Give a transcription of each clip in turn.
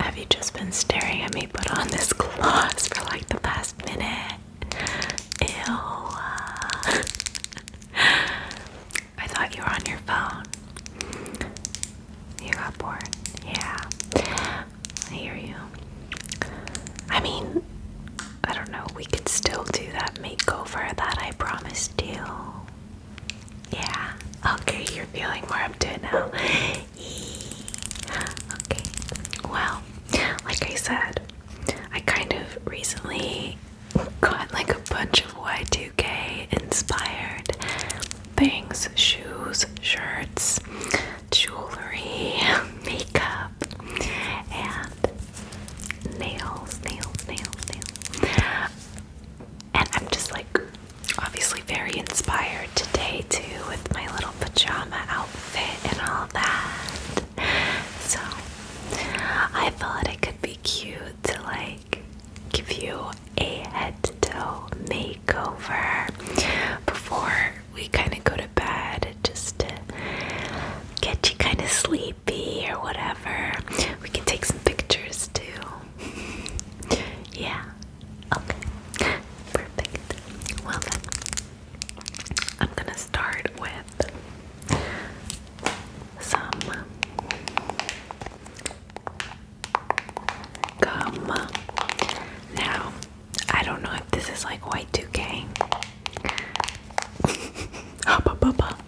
Have you just been staring at me put on this gloss for like the past minute? Ew. I thought you were on your phone. You got bored. Yeah. I hear you. I mean, I don't know, we could still do that makeover that I promised you. Yeah. Okay, you're feeling more up to it now. Okay. Well, like I said, I kind of recently got like a bunch of Y2K inspired things shoes, shirts, jewelry, makeup, and nails, nails, nails, nails. And I'm just like obviously very inspired today too with my little pajama outfit and all that. So I thought it could be cute to like give you a head to toe makeover before we kind of go to bed just to get you kind of sleepy baby or whatever. We can take some pictures too. yeah. Okay. Perfect. Well I'm gonna start with some gum. Now, I don't know if this is like Y2K. Hubba bubba.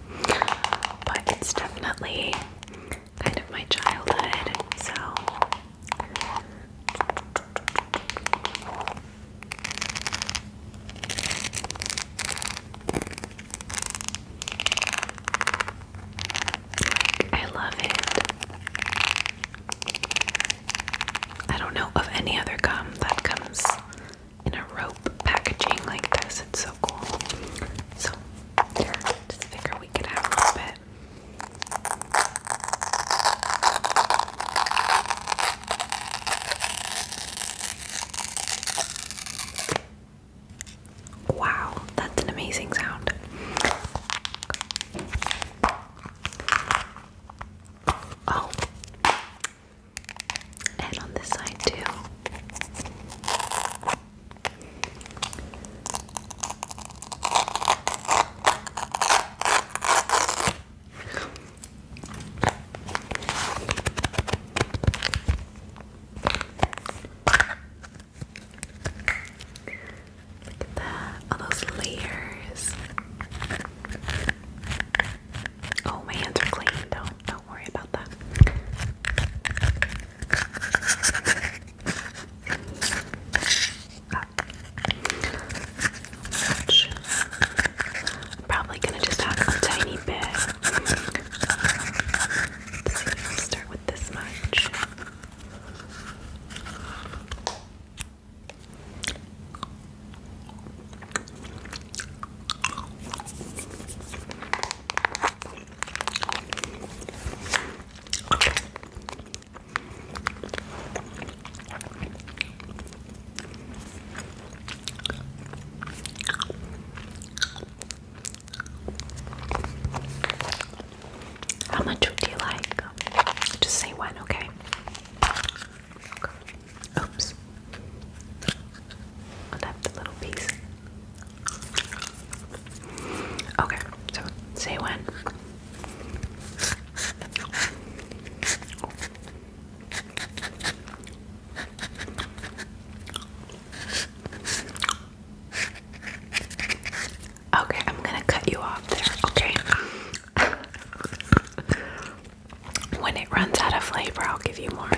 But it's definitely kind of my childhood, so I love it. I don't know of any other gum that comes in a rope packaging like this. It's so cool. So just figure we could have a little bit. Wow, that's an amazing sound. Oh, and on this side, too. Look at that, all those layers. Oh, my hands are clean. Don't don't worry about that. I'm probably gonna just add a tiny bit. start with this much. Okay. How much would you like? Just say one, okay. Oops. I left a little piece. Okay, so say when. Okay, I'm gonna cut you off there, okay? when it runs out of flavor, I'll give you more.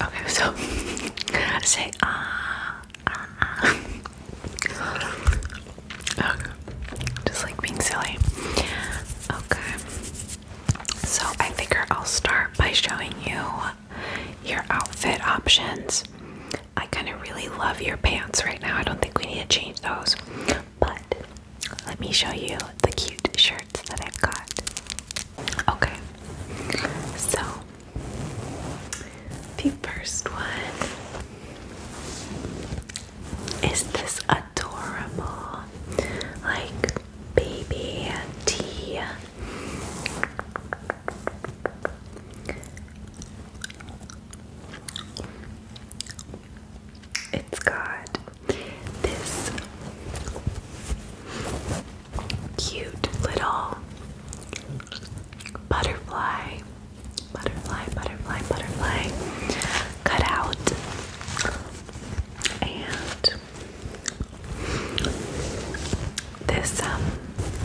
Okay, so say ah, ah, ah. Okay. Just like being silly. Okay. So I figure I'll start by showing you your outfit options. I kind of really love your pants right now. I don't think we need to change those. But let me show you the cute shirts that I've got. Okay, so the first one is this adorable, like baby tea. It's got this cute little butterfly, butterfly, butterfly, butterfly cut out. And this, um,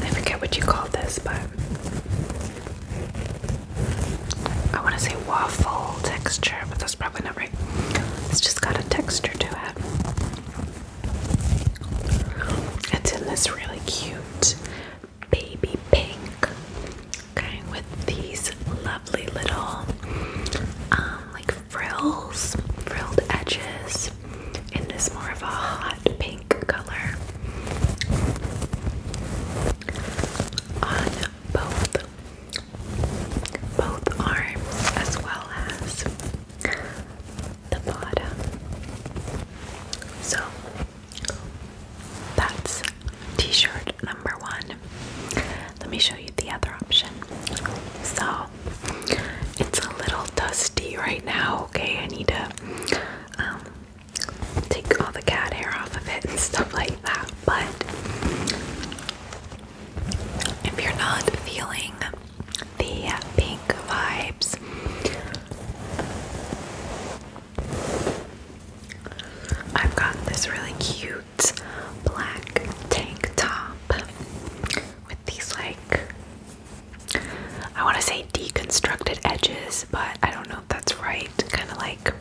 I forget what you call this, but I want to say waffle texture, but that's probably not right. It's just got a texture to it. It's in this really cute baby pink, with these lovely little um, like frills, frilled edges, in this more of a hot pink color on both both arms as well as the bottom. So that's t shirt number one. Let me show you the other option. So it's a little dusty right now, okay? I need to um, take all the cat hair off of it and stuff like that. But if you're not feeling the pink vibes. I've got this really cute black tank top with these, like, I want to say deconstructed edges, but I don't know if that's right. Kind of like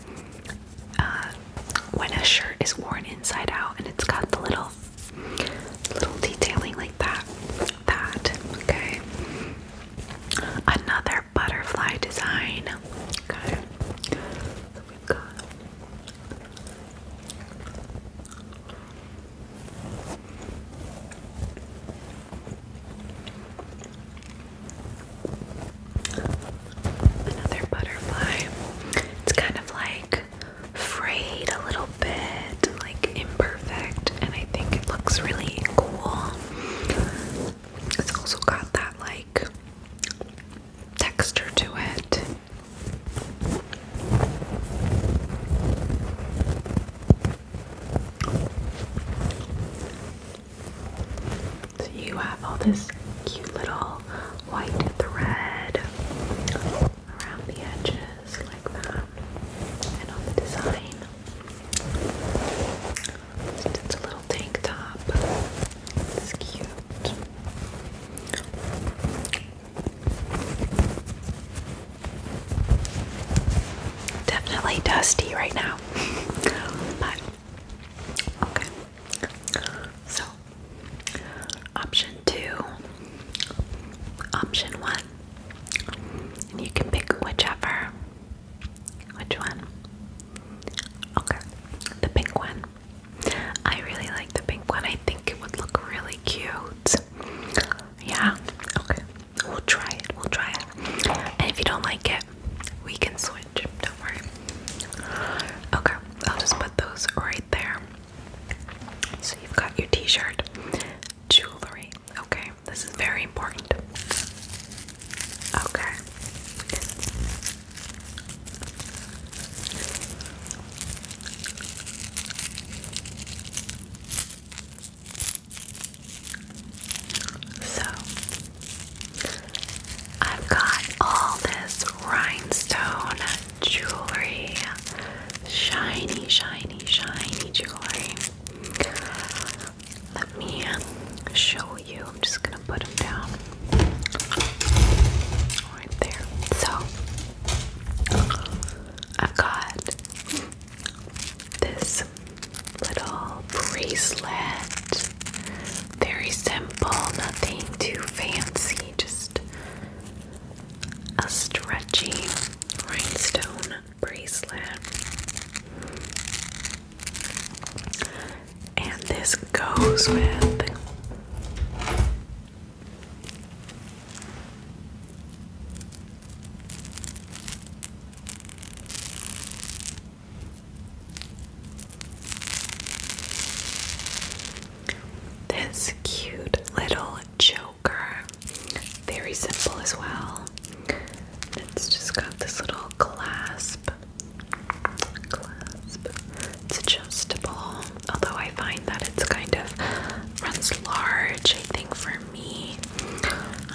uh, when a shirt is worn inside out and it's got the little Little detailing like that. That. Okay. Another butterfly design. Okay. So we got Another butterfly. It's kind of like frayed a little bit, like imperfect, and I think it looks really cool. It's also got that like texture to it. So you have all this cute little white thread around the edges like that and on the design. It's a little tank top. It's cute. Definitely dusty right now. but okay. So option two, option one, and you can pick whichever. Which one? Okay, the pink one. I really like the pink one. I think it would look really cute. Yeah, okay. We'll try it. We'll try it. And if you don't like it, we can switch. Don't worry. Okay, I'll just put those right there. So you've got your t-shirt, jewelry. Okay, this is very important. Okay. So, I've got all this rhinestone jewelry. Shiny, shiny, shiny jewelry. Let me show you. I'm just gonna put them down right there. So I've got this little bracelet. Very simple, nothing too fancy, just a stretchy rhinestone bracelet. And this goes with this cute little choker. Very simple as well. It's just got this little clasp. Clasp. It's adjustable. Although I find that it's kind of runs large, I think, for me.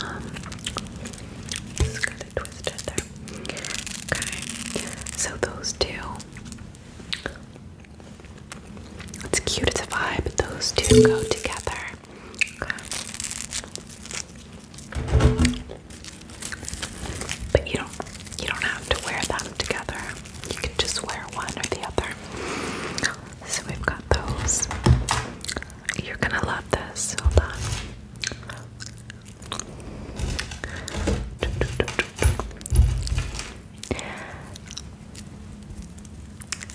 Um, just got to twist there. Okay. So those two. It's cute, it's a vibe. Those two go together. But you don't you don't have to wear them together. You can just wear one or the other. So we've got those. You're gonna love this. Hold on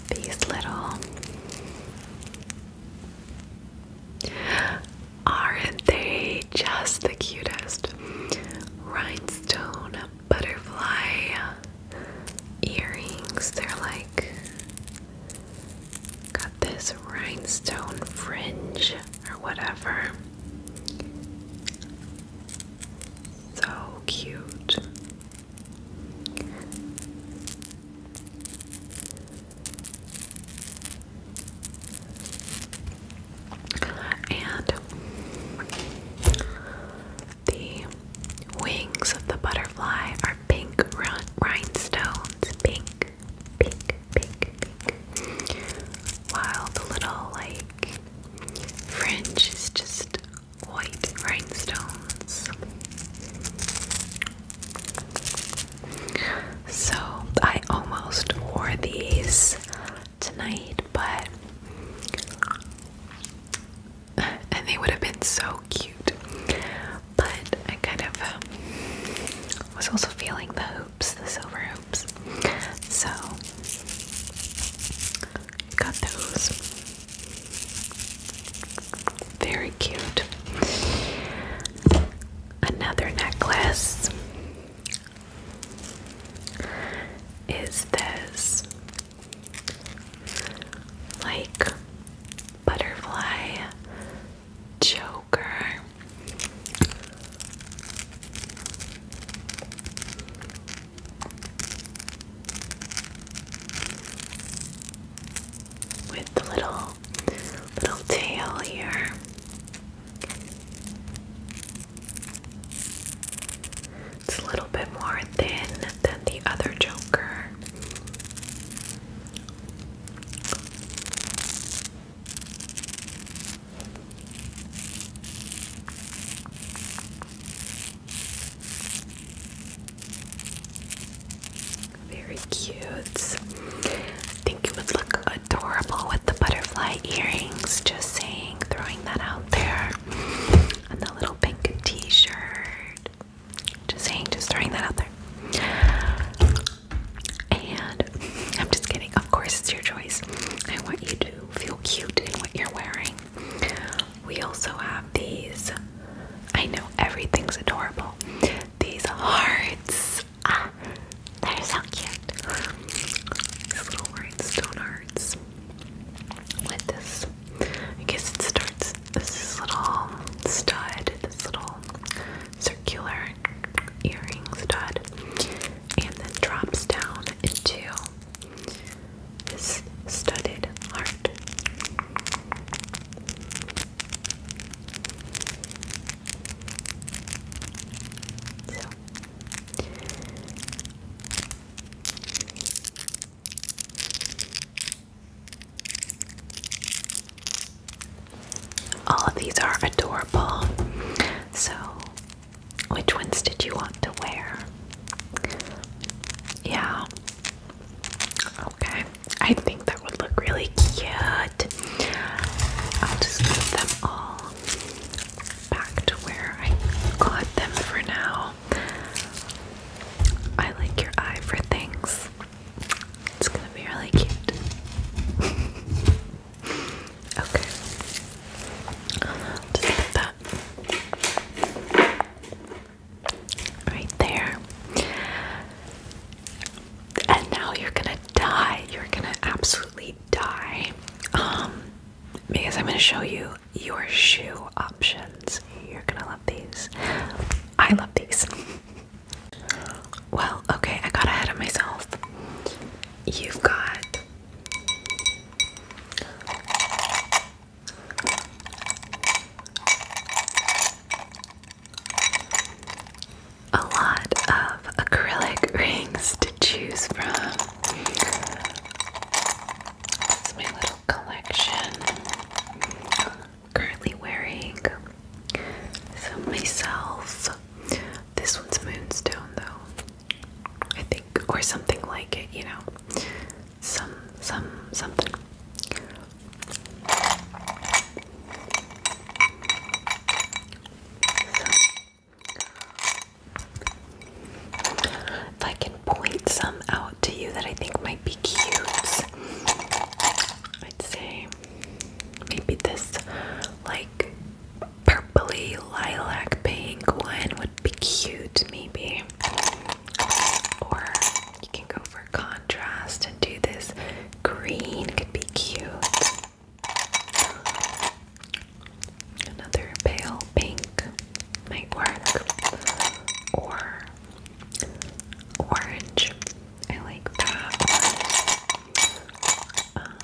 these little aren't they just the cutest rhinestone butterfly earrings they're like got this rhinestone fringe or whatever so cute and the wings of the butterfly are pink rhinestones. Pink, pink, pink, pink. While the little, like, fringe is just white rhinestones. So I almost wore these tonight, but and they would have been so cute. But I kind of um, was also feeling the hoops, the silver hoops. So got those. Very cute. Another necklace is this like butterfly choker with the little little tail here. It's a little bit more thin than the other Joker. Very cute. I think it would look adorable with the butterfly earrings, just saying, throwing that out there. And the little pink t shirt, just saying, just throwing that out there. And I'm just kidding, of course, it's your choice. I want you to feel cute in what you're wearing. We also have these. I know everything's adorable. These hearts. Ah, they're so cute. These little rhinestone hearts. With this, I guess it starts. This little stud, this little circular earring stud, and then drops down into this studded heart. So all of these are adorable. So, which ones did you want to wear? Yeah. Okay. I think that would look really cute. I'll just move them all back to where I got them for now. I like your eye for things. It's gonna be really cute. okay. Just put that Right there. And now you're gonna die. You're gonna absolutely die. Um, because I'm gonna show you your shoe options. You're gonna love these. I love these. Well, okay, I got ahead of myself. You've got a lot of acrylic rings to choose from. That's my little collection. currently wearing some myself. This one's moonstone, though, I think, or something like it, you know some some something. if I can point some out to you that I think might be cute, I'd say maybe this like purpley lilac pink one would be cute, maybe. Or you can go for contrast and do this green, could be cute. Another pale pink might work. Or orange. I like that um,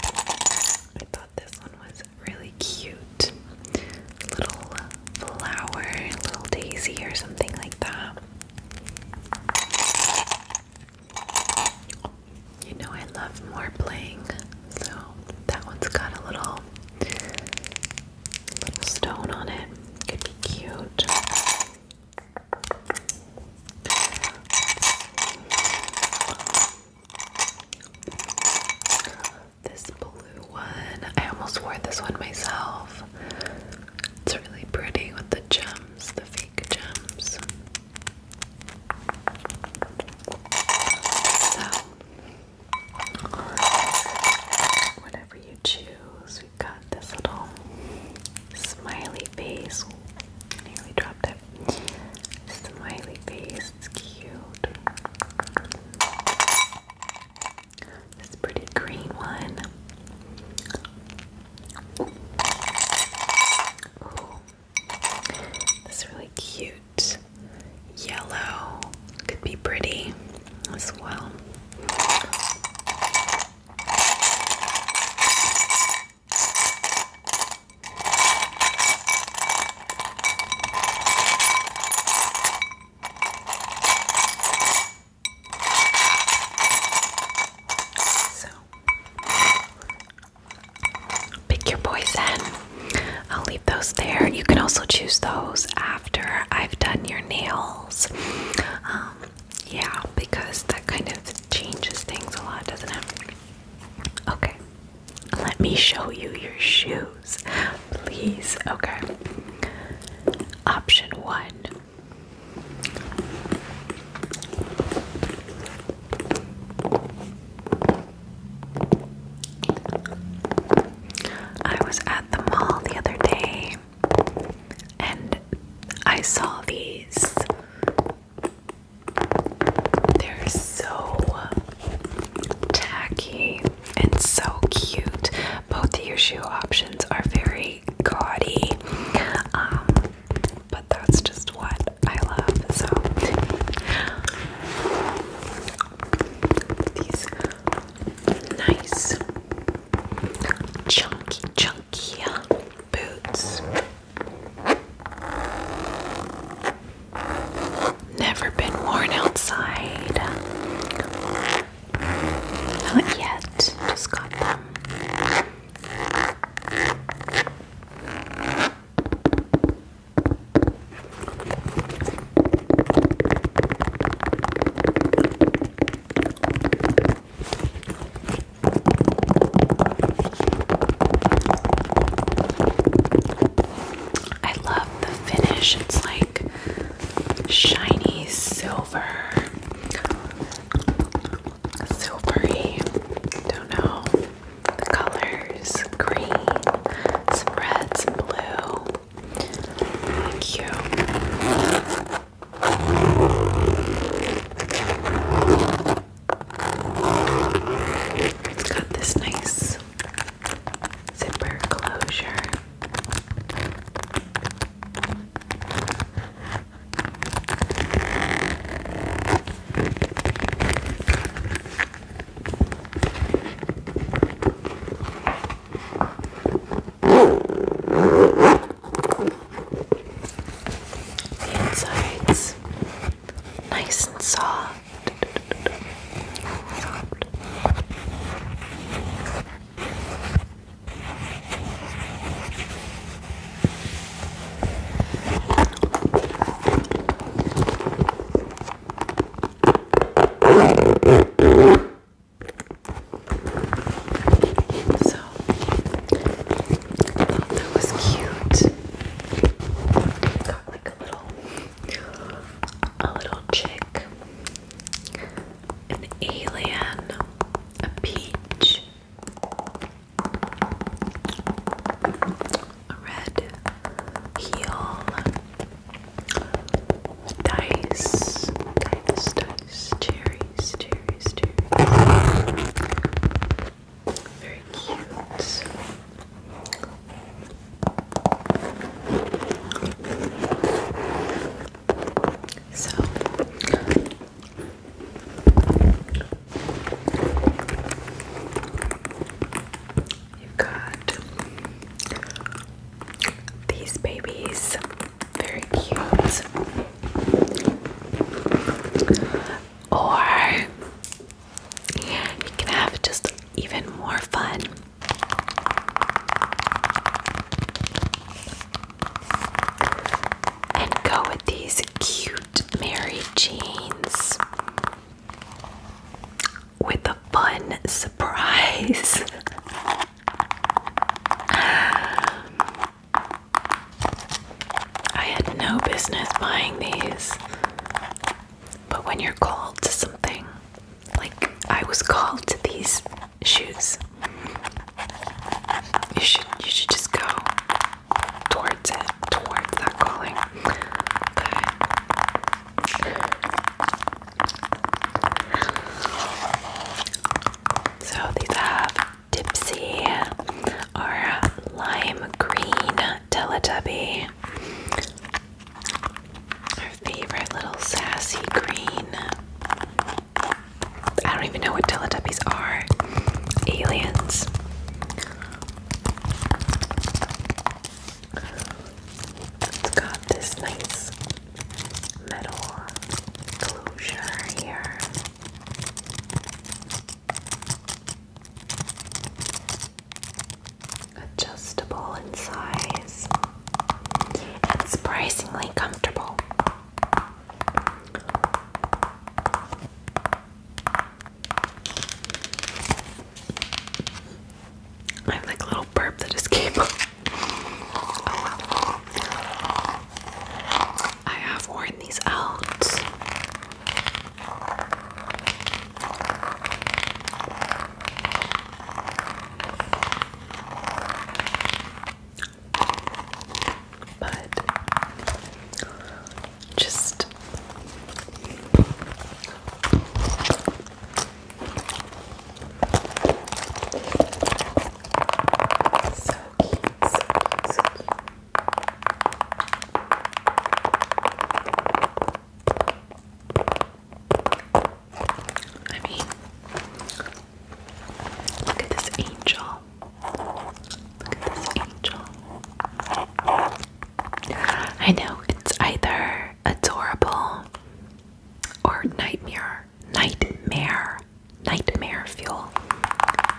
I thought this one was really cute little flower, little daisy or something like that. You know I love more playing, so that one's got a little little stone on it. Could be cute this blue one. I almost wore this one myself. It's really pretty with the gems, the fake gems. So, whatever you choose, we got this little smiley face. nearly dropped it. Smiley face, it's cute. This pretty green one. This really cute yellow could be pretty as well. So pick your poison. I'll leave those there. You can also choose those after I've done your nails. Um, yeah, because that kind of changes things a lot, doesn't it? Okay, let me show you your shoes please. Okay. Option one. I was at the mall the other day and I saw these. They're so tacky and so cute. Both of your shoe options are very gaudy, um, but that's just what I love. So these nice chunky, chunky uh, boots. Never been worn outside. Not yet. Just got them. I love the finish. It's like shiny silver. Silvery. Don't know. The colors green, some red, blue. Thank It's got this nice zipper closure. The insides nice and soft. soft. So I thought that was cute. Got like a little a little chick an alien, a peach, a red heel, dice, dice, dice, cherries, cherries, cherries. Very cute. So you've got these babies, very cute. Or you can have just even more fun and go with these cute Mary Jeans with a fun surprise. I had no business buying these, but when you're called to something, like I was called to these shoes. You should you should just go towards it, towards that calling. Okay. So these have Dipsy or lime green Teletubby. Our favorite little sassy green. I don't even know what Teletubbies are. Aliens. It's got this nice metal closure here. Adjustable in size and surprisingly comfortable. I have like a little burp that just came I have worn these out. But just so cute, so cute, so cute. I mean, look at this angel. Look at this angel. I know it's either adorable or nightmare. Nightmare. Nightmare fuel.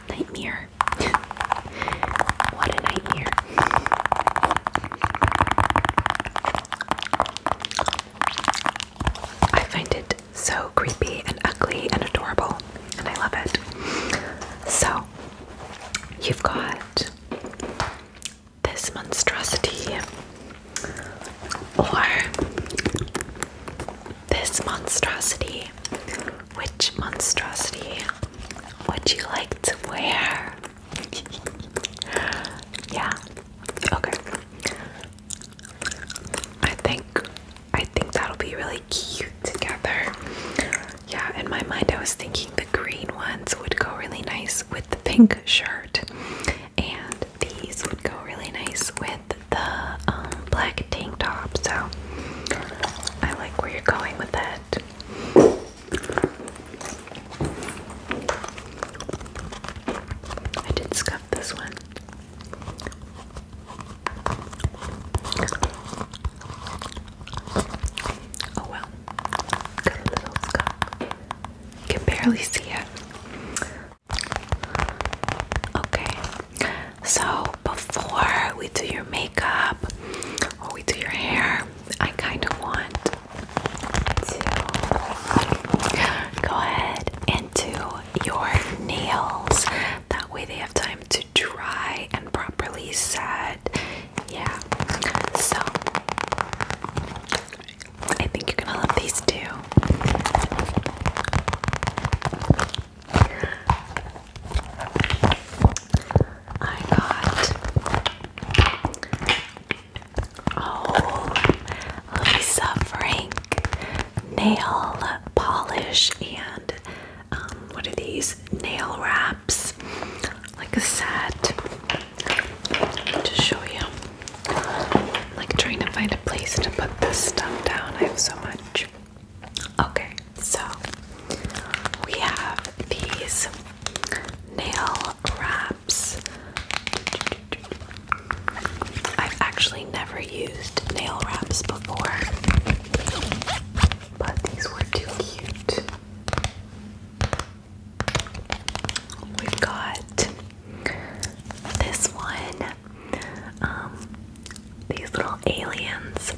Nightmare. what a nightmare. I find it so creepy and ugly and adorable, and I love it. So, you've got this monstrosity, or this monstrosity. Which monstrosity would you like to wear? yeah, okay. I think I think that'll be really cute together. Yeah, in my mind I was thinking the green ones would go really nice with the pink shirt. And these would go really nice with the um, black tank top. So I like where you're going with it. I did scuff this one. Oh well, got a little stuck. Can barely see it. Okay, so before we do your makeup or we do your hair, I kind of want to go ahead and do your nails. That way they have time to dry and properly set. Yeah. So I think you're gonna love these too. I got Oh, Lisa Frank nail polish and um, what are these? Nail wraps, like a set. To show you, like trying to find a place to put this stuff down. I have so much. Okay, so we have these nail wraps. I've actually never used nail wraps before, but these were too cute. We've got this one, um, these little aliens.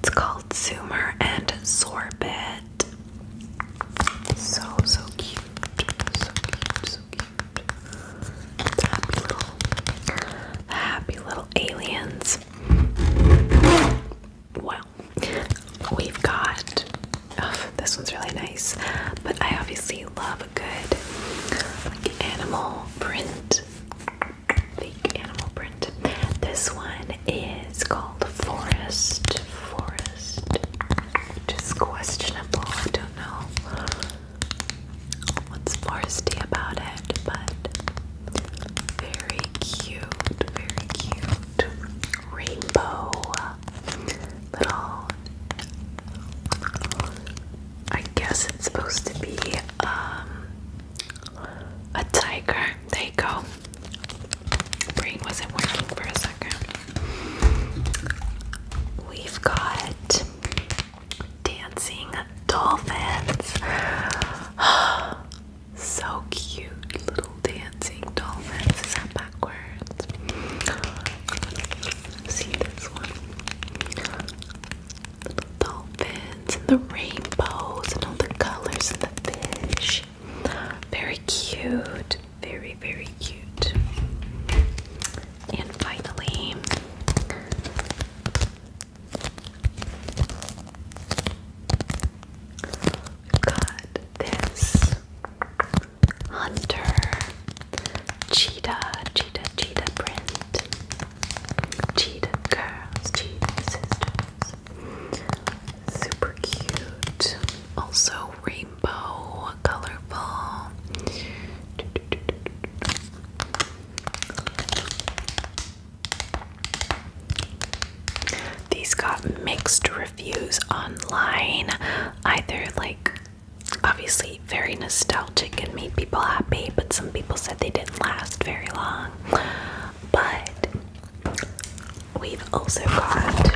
It's called Zoomer and Sorbet. So, so cute. So cute, so Happy little, happy little aliens. Well, we've got. Oh, this one's really nice, but I obviously love a good like, animal print. Fake animal print. This one is called Forest. Forest. Which is questionable. I don't know what's foresty about it, but very cute, very cute rainbow little. I guess it's supposed to be um, a tiger. There you go. Brain wasn't working for a second. We've got dancing dolphins. so cute, little dancing dolphins. Is that backwards? See this one. dolphins and the rainbows and all the colors and the fish. Very cute. Very, very cute. And finally, we've got this hunter cheetah, cheetah, cheetah print, cheetah girls, cheetah sisters. Super cute. Also, Ray rainbow, colorful. These got mixed reviews online. Either, like, obviously very nostalgic and made people happy, but some people said they didn't last very long. But we've also got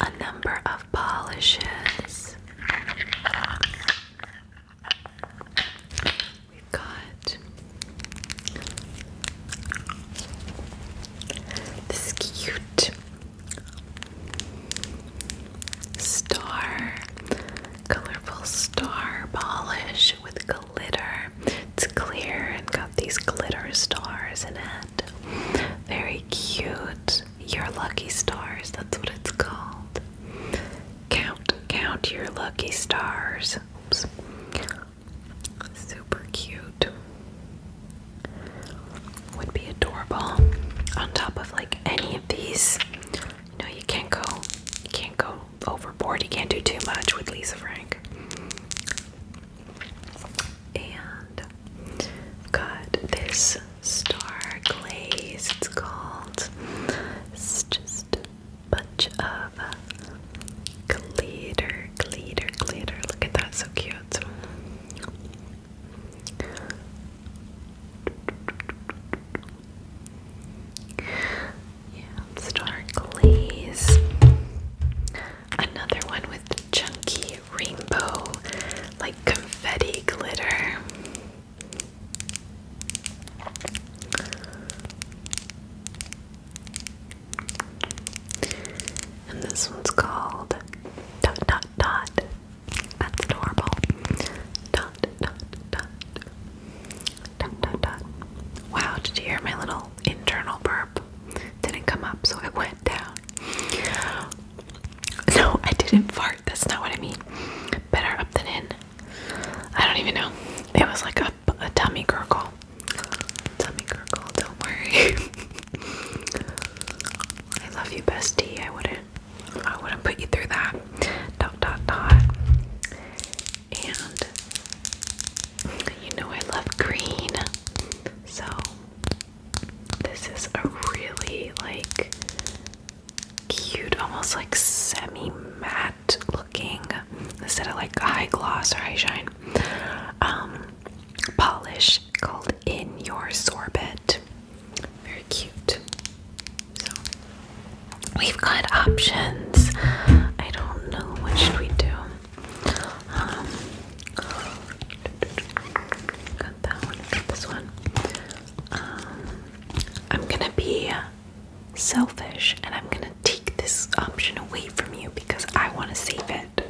a number of polishes. We've got this cute star, colorful star polish with glitter. It's clear and got these glitter stars in it. Very cute. Your lucky stars, that's what it's called. Count, count your lucky stars. Oops. Super cute. Would be adorable on top of like any of these no, you can't go. You can't go overboard. You can't do too much with Lisa Frank. And got this star glaze. It's called. just bunch of glitter, glitter, glitter. Look at that, so cute. Yeah, star glaze. Another one with chunky rainbow, like confetti glitter. And this one's called dot dot dot that's adorable. Dot, dot, dot. Dot, dot, dot. Wow, did you hear my little internal burp? Didn't come up, so it went down. No, I didn't fart. That's not what I mean. Better up than in. I don't even know. It was like a, a tummy gurgle. Tummy gurgle, don't worry. I love you, bestie. I wouldn't I wouldn't put you through that. Dot dot dot. And you know I love green. So this is a really like cute, almost like semi-matte looking instead of like high gloss or high shine um, polish called in your sorbet very cute. we've got options. I don't know what should we do. Um, that one. Got this one. Um, I'm gonna be selfish, and I'm gonna take this option away from you because I want to save it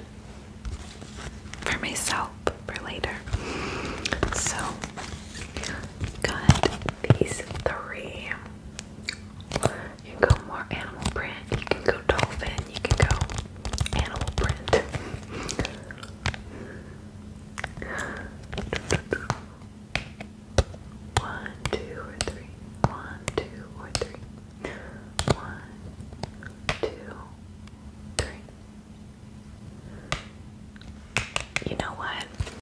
for myself for later. So, got these three. You can go more animal print, you can go dolphin, you can go animal print. One, two, or three. One, two, or three. One, two, three. You know what?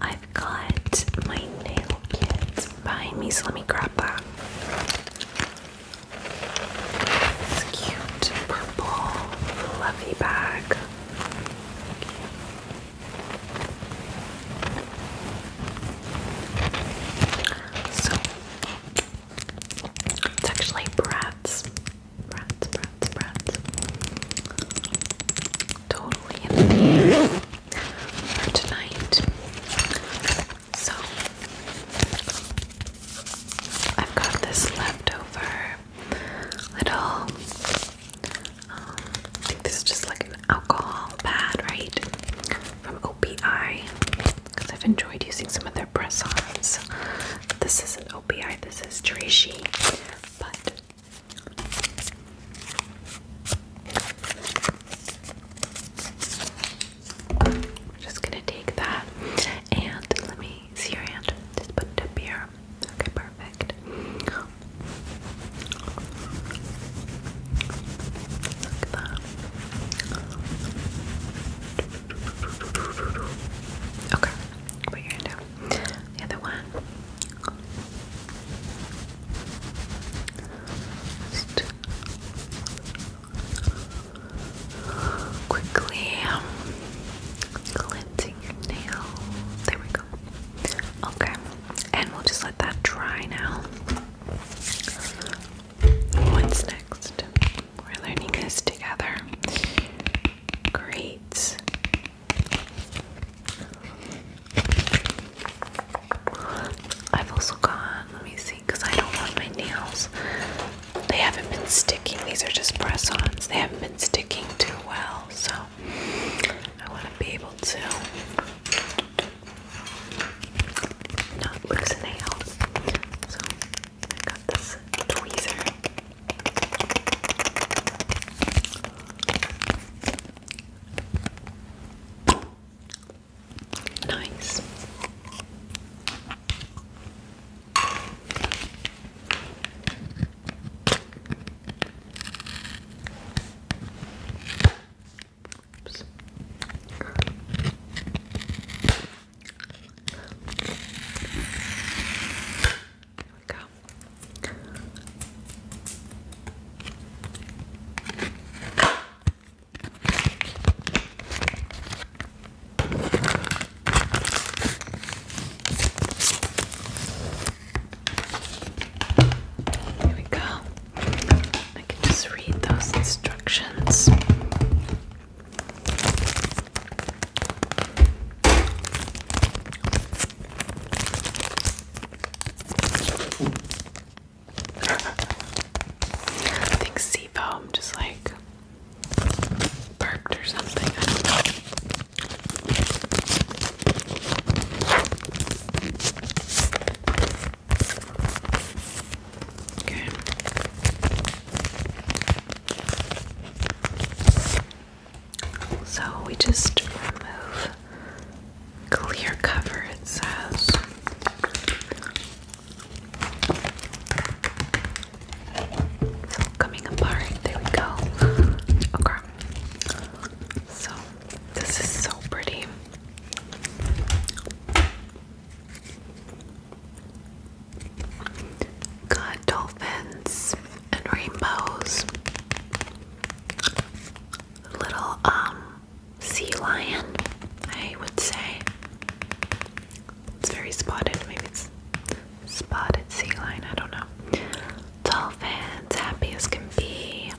I've got my nail kits behind me, so let me grab that. cute purple fluffy bag. So it's actually Bratz. Bratz, Bratz, Bratz totally in the for tonight. So I've got this leftover little. Um, I think this is just like an alcohol pad, right? From OPI, because I've enjoyed using some of their press-ons. This isn't OPI, this is Trichy, but I'm just gonna take that and let me see your hand. Just put it up here. Okay, perfect. Look at that. Okay, put your hand down. The other one quickly um, cleansing nail. There we go. Okay, and we'll just let that dry now. What's next? We're learning this together. Great. I've also got, let me see, because I don't want my nails. They haven't been sticking. These are just press ons. They haven't been sticking too well. So I want to be able to not lose a nail. So I got this tweezer. Nice. Oops. There we go. There we go. I can just read those instructions. I think seafoam just like burped or something. Okay. So we just remove clear cover, it says. So coming apart, there we go. Okay. So this is so pretty. Got dolphins and rainbows little um sea lion, I would say. It's very spotted, maybe it's spotted sea lion, I don't know. Dolphins, happy as can be.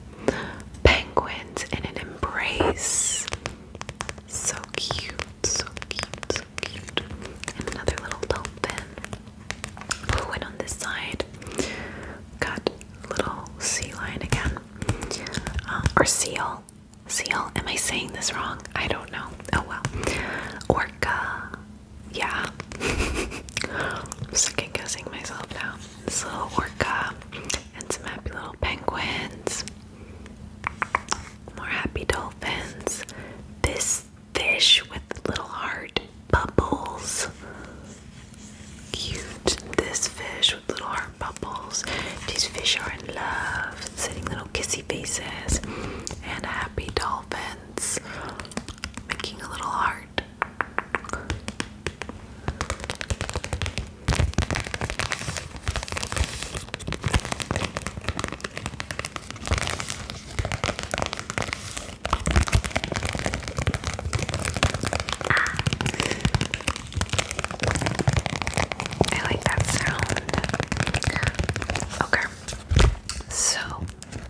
Penguins in an embrace. So cute, so cute, so cute. And another little dolphin. Ooh, and on this side, got little sea lion again, um, or seal. Seal? Am I saying this wrong? I don't know. Oh well. Orca. Yeah. Second guessing myself now. This little orca and some happy little penguins. More happy dolphins. This fish with little heart bubbles. Cute. This fish with little heart bubbles. These fish are in love, sitting little kissy faces, and happy dolphins making a little heart. Ah. I like that sound. Okay. So,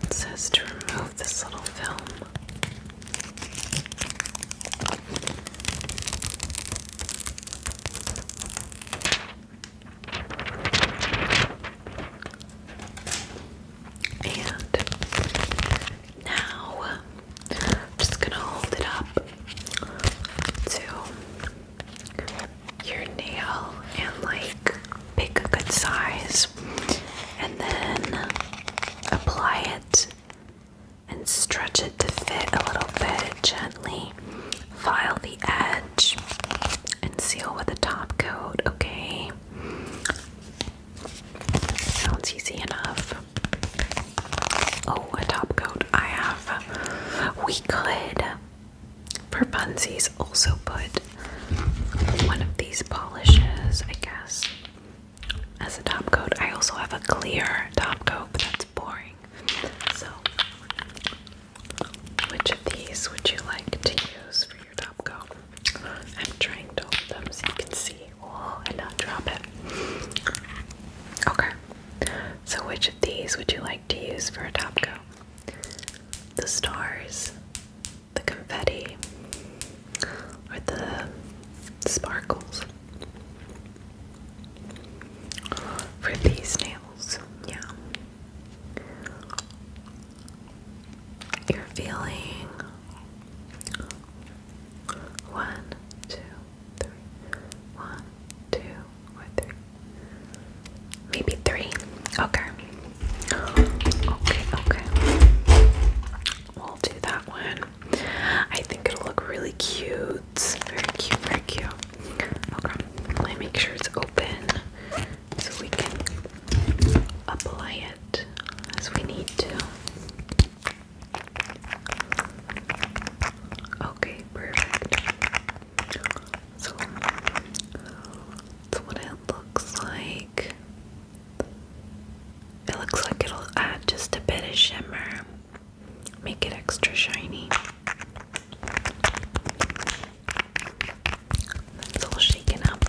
it says to remove this little film. And now I'm just gonna hold it up to your nail and like pick a good size and then apply it and stretch it to fit a little bit gently. File the edge and seal with a top coat, okay? Sounds easy enough. Oh, a top coat. I have. We could, for funsies, also put one of these polishes, I guess, as a top coat. I also have a clear top coat, but that's boring. So, which of these would you like to use for your top go. I'm trying to hold them so you can see all and not drop it. Okay. So which of these would you like to use for a top coat? The stars, the confetti, or the sparkles? For these nails, yeah. You're feeling one, two, three. One, two, or three. Maybe three. Okay. Okay, okay. We'll do that one. I think it'll look really cute. Very cute, very cute. Okay. Let me make sure it's open so we can apply as we need to. Okay, perfect. So that's what it looks like. It looks like it'll add just a bit of shimmer, make it extra shiny. It's all shaken up.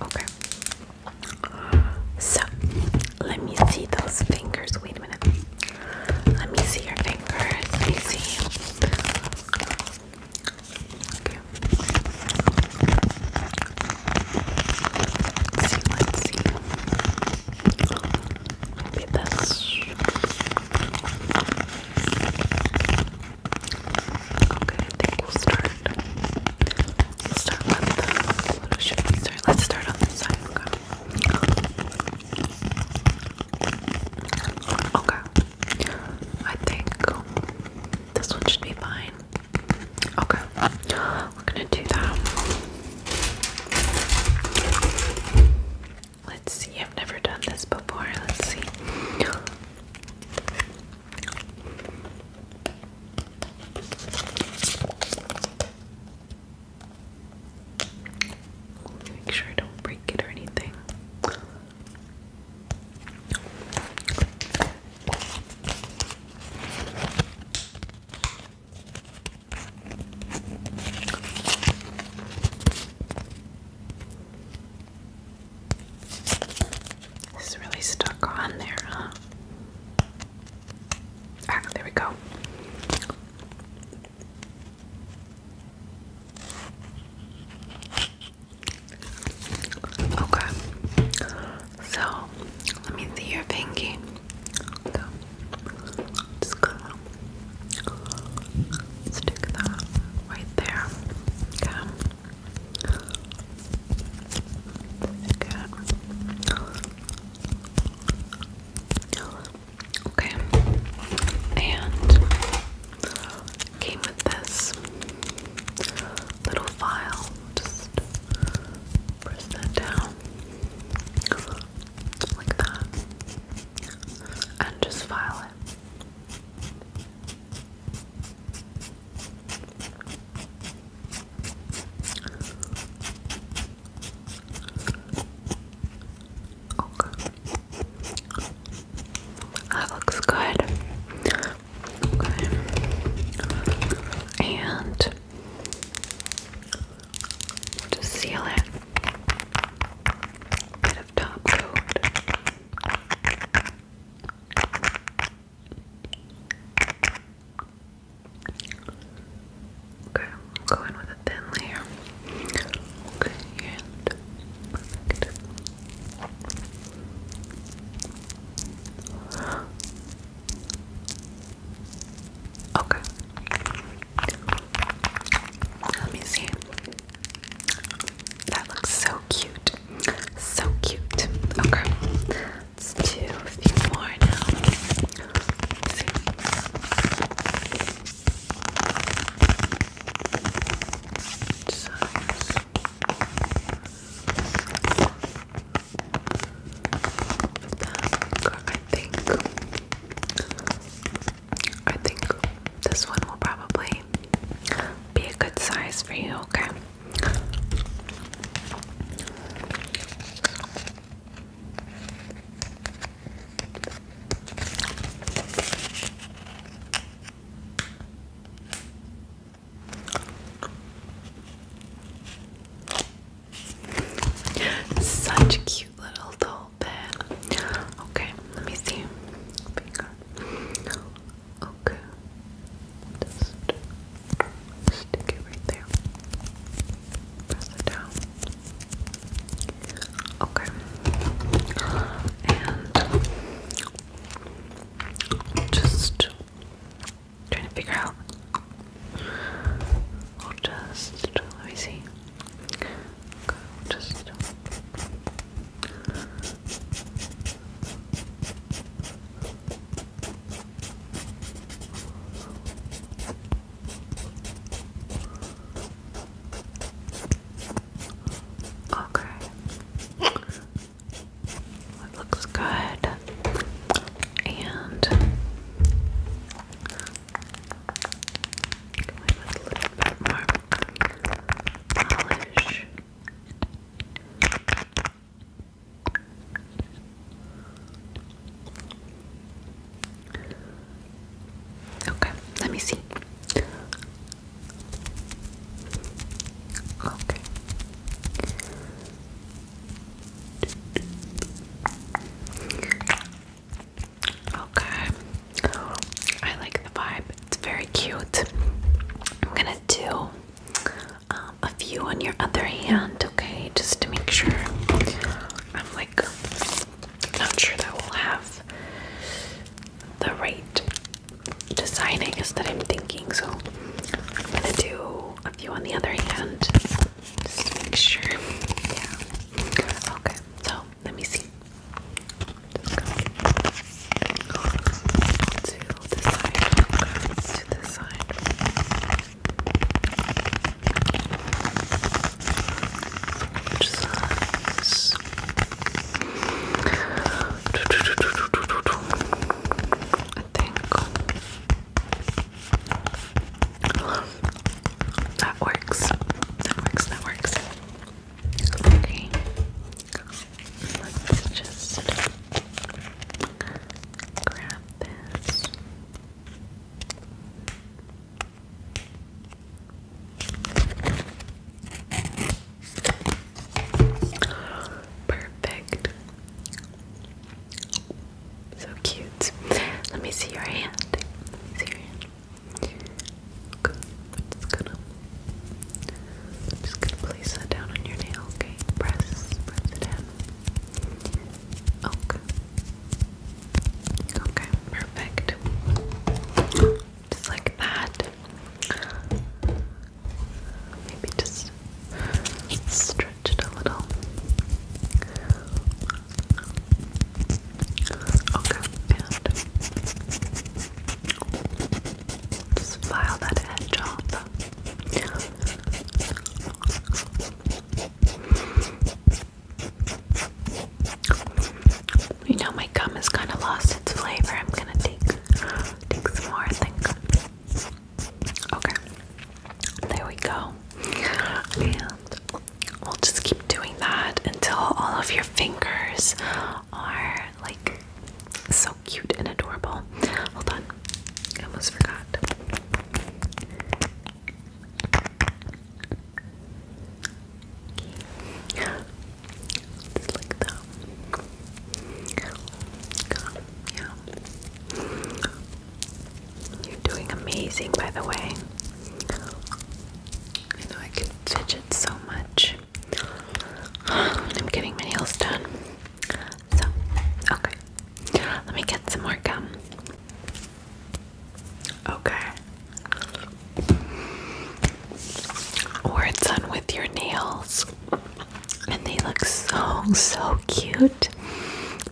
Okay. So let me see those fingers. Wait a minute. Let me see your fingers. Let me see. Okay. Let's see, let's see. Maybe this. Okay, I think we'll start. We'll start with the. What should we start? Let's start on this side. Okay. I think this one should be fine. Okay. We're gonna do that. Let's see, I've never done this before. Let's see. Make sure I don't break it or anything. It's really stuck on there, huh? Ah, there we go. Okay. So, let me see your pinky. So, just going stick that right there. Okay. Okay. And came with this little file. Just press that down. like that and just file it. Okay. That looks good. Okay. And just seal it. Bit of top coat. Okay, I'm with a thin layer. Okay, perfect. Okay. Let me see. That looks so cute. So cute. Okay. Let's do a few more now. I think I think this one will probably be a good size for you, okay? Such cute little doll. Okay, let me see. Okay. stick it right there. Press it down. Okay. just trying to figure out. just let me see. Okay, just. Okay. looks good. And a little bit more Okay, let me see. Okay. Okay. I like the vibe. It's very cute. I'm gonna do um, a few on your other hand, okay? Just to make sure. I'm like not sure that we'll have the right design, that I'm thinking. So I'm gonna do a few on the other hand. Just make sure. Yeah. Okay. So let me see. to this side. To this side. Which I think that works. That works. That works. Okay. Let's just grab this. Perfect. So cute. Let me see your hand. Let me see your hand. Okay, i gonna, just gonna place that down on your nail. Okay, press, press it in. Okay. Okay, perfect. Just like that. Maybe just stretch it a little. Okay, and just file that edge off. You know my gum has kind of lost its flavor. I'm gonna take take some more. I Okay, there we go. And we'll just keep doing that until all of your fingers are like so cute and adorable. Hold on, I almost forgot. You're doing amazing, by the way. I know I can fidget so much. I'm getting my nails done. So, okay. Let me get some more gum. Okay. Or it's done with your nails. And they look so, so cute.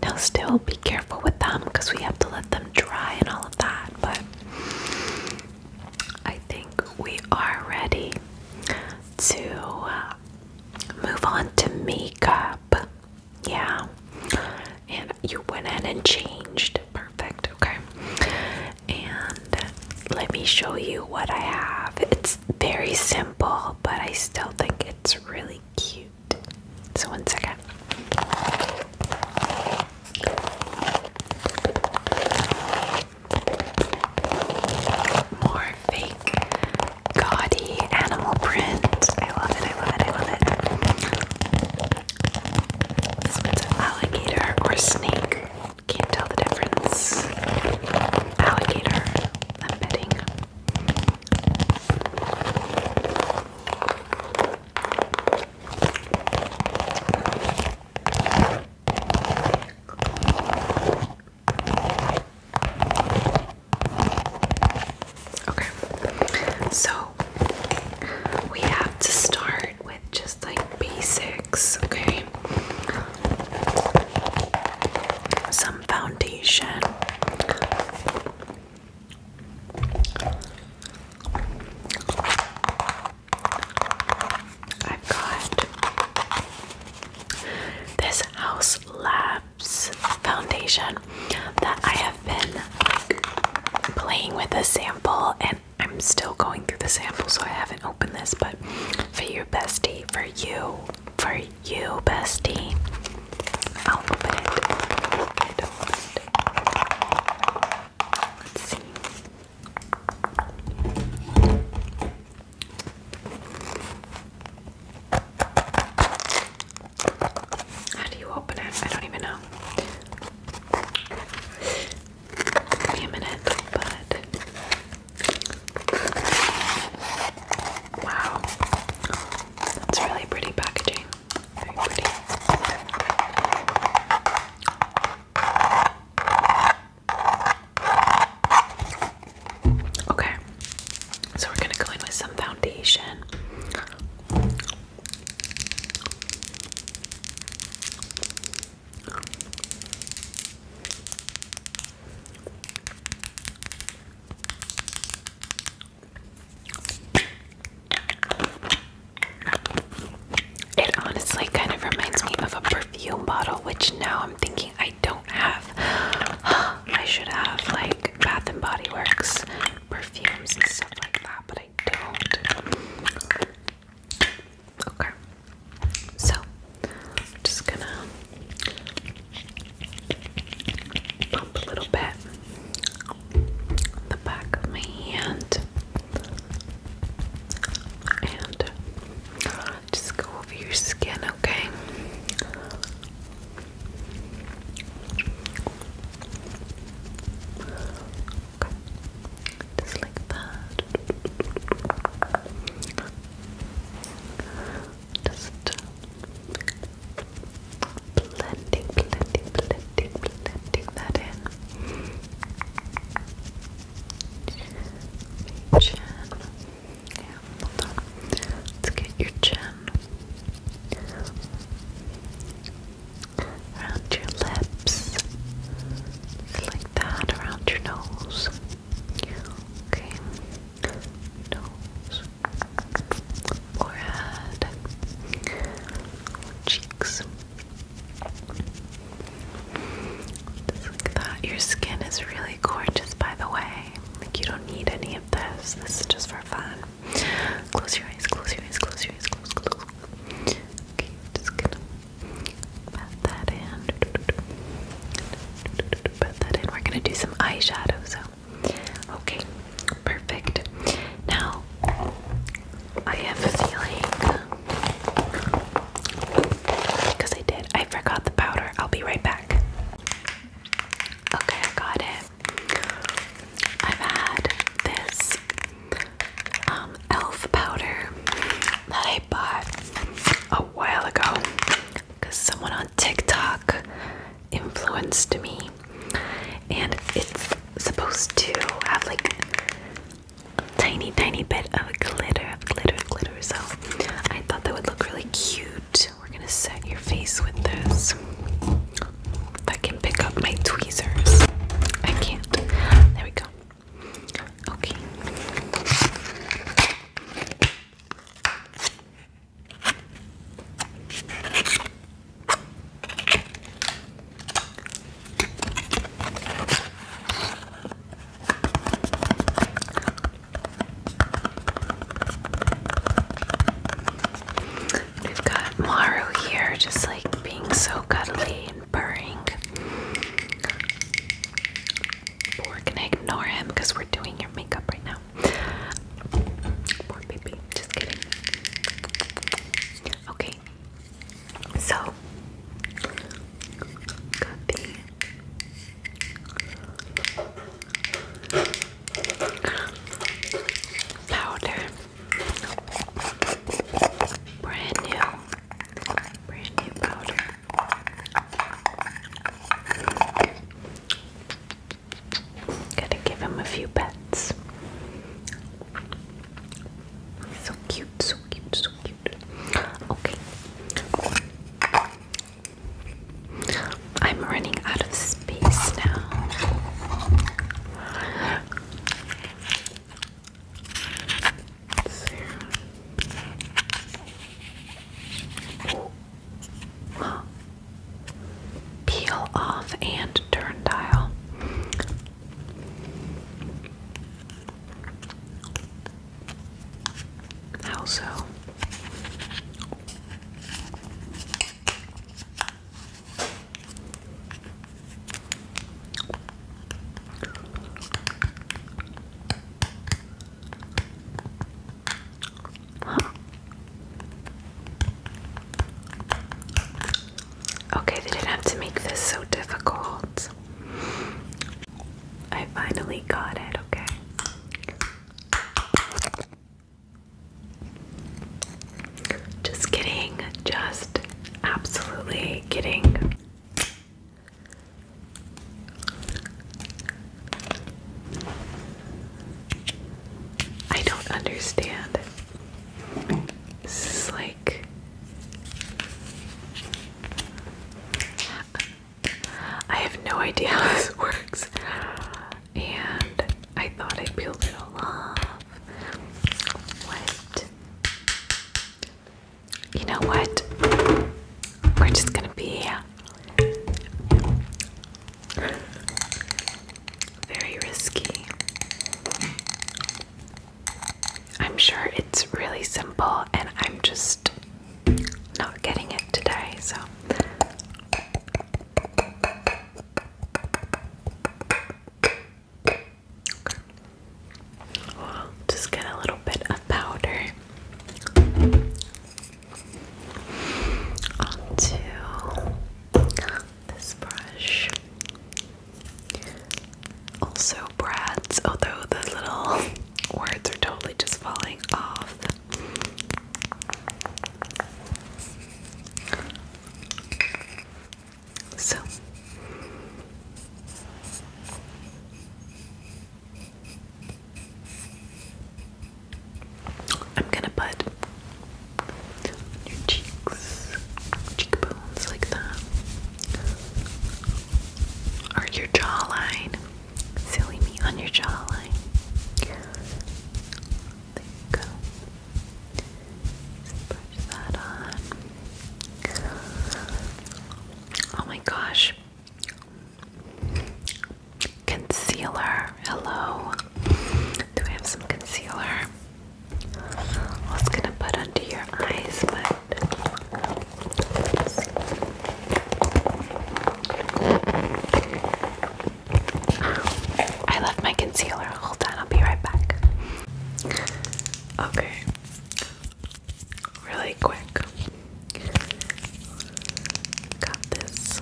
Now, still be careful with them because we have to let them dry and all of that. But I think we are ready to uh, move on to makeup. Yeah. And you went in and changed. Perfect. Okay. And let me show you what I have. It's very simple, but I still think it's really cute. So, one second. More fake, gaudy animal print. I love it, I love it, I love it. This one's an alligator or snake. Can't tell the difference. Alligator, I'm betting. Okay, so we have to start with just like basics, okay? Some foundation. I've got this House Labs foundation that I have been playing with a sample, and I'm still going through the sample, so I haven't opened this. But for your bestie, for you, for you, bestie, I'll open it. Let's see. How do you open it? I don't even know. Give me a minute, wow, that's really pretty packaging. Very pretty. Okay, so we're gonna go in with some foundation. It honestly kind of reminds me of a perfume bottle, which now I'm thinking I don't have. I should have like Bath and Body Works perfumes and stuff like that, but I don't. Okay. So, I'm just gonna bump a little bit the back of my hand. And just go over your skin, okay? Just like that. Just blending, blending, blending, blending, blending that in. Chin. Yeah, hold on. Let's get your chin around your lips, like that, around your nose. Okay, nose, forehead, cheeks. Your skin is really gorgeous, by the way. Like, you don't need any of this. This is just for fun. Close your eyes, close your eyes, close your eyes, close, close. Okay, just gonna pat that in. Pat that in. We're gonna do some eyeshadow, so. Okay, perfect. Now, I have a feeling because I did. I forgot the powder. I'll be right back. Okay, I got it. I've had this um, elf powder that I bought a while ago because someone on TikTok influenced me, and it's supposed to have like tiny, tiny bit of glitter, glitter, glitter. So I thought that would look really cute. We're gonna set your face with this. If I can pick up my tweezers, I can't. There we go. Okay. We've got Maru here, just like being so cuddly and purring. But we're gonna ignore him because we're doing your makeup right now. Poor baby, just kidding. Okay, so, powder, brand new, brand new powder. Gotta give him a few pets. So cute, so cute, so Okay. I'm running out of space now. Peel off and turn dial. How so? Okay, they didn't have to make this so difficult. I finally got it, okay. Just kidding, just absolutely kidding. I don't understand. This is like I have no idea how this works, and I thought I peeled it all off. What? You know what? We're just gonna be very risky. I'm sure it's really simple, and I'm just not getting it today, so. just get a little bit of powder onto this brush. Also, Brad's, although the little words are totally just falling off. So. I'm gonna put your cheeks, cheekbones sounds like that. Or your jawline. Silly me on your jawline. There you go. Just that on. Oh my gosh. Concealer. Hello. Do we have some concealer? was gonna put under your eyes, but I left my concealer. Hold on, I'll be right back. Okay. Really quick. Got this.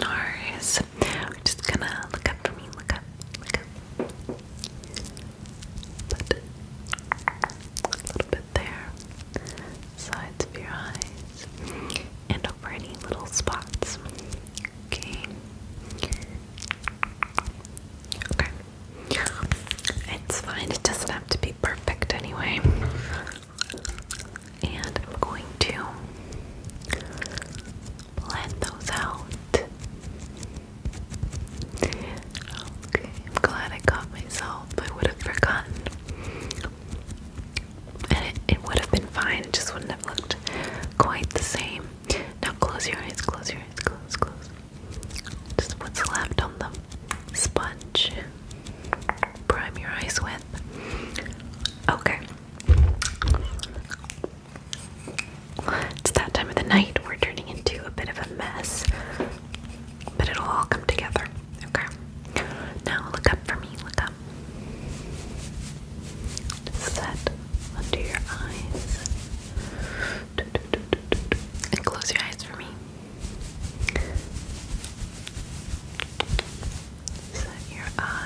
Nars. just gonna look up for me. Look up. Look up a little bit there, sides of your eyes, and over any little spots. Okay. Okay. It's fine, it doesn't have to be perfect anyway. And I'm going to blend those out. Okay, I'm glad I caught myself. I would have forgotten. And it, it would have been fine, it just wouldn't have looked quite the same. Now close your eyes, close your eyes, close, close. Just what's left on the sponge. Prime your eyes with. Okay. It's that time of the night. We're turning into a bit of a mess, but it'll all come together. Okay. Now look up for me. Look up. set under your eyes. And close your eyes for me. Set your eyes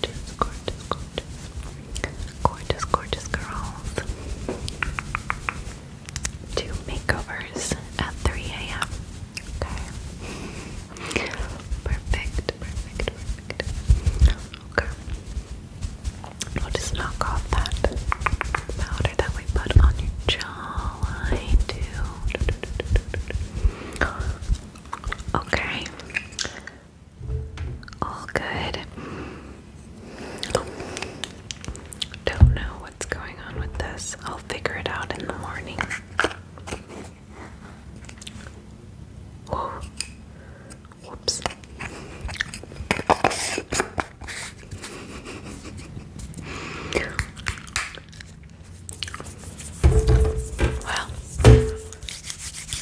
gorgeous, gorgeous, gorgeous, gorgeous, girls do makeovers at 3 a.m. Okay. Perfect, perfect, Okay. We'll just knock off that powder that we put on your jawline Okay. All good. don't know what's going on with this. I'll figure it out in the morning. Oh. Whoops. Well, Let's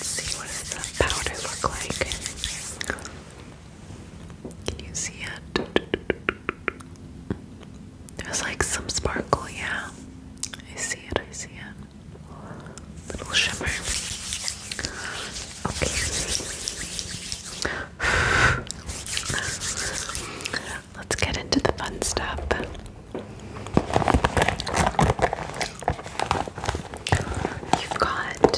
see what does that powder look like. Can you see it? There's like some sparkle, yeah. I see it, I see it. Little shimmer. Okay. Let's get into the fun stuff you got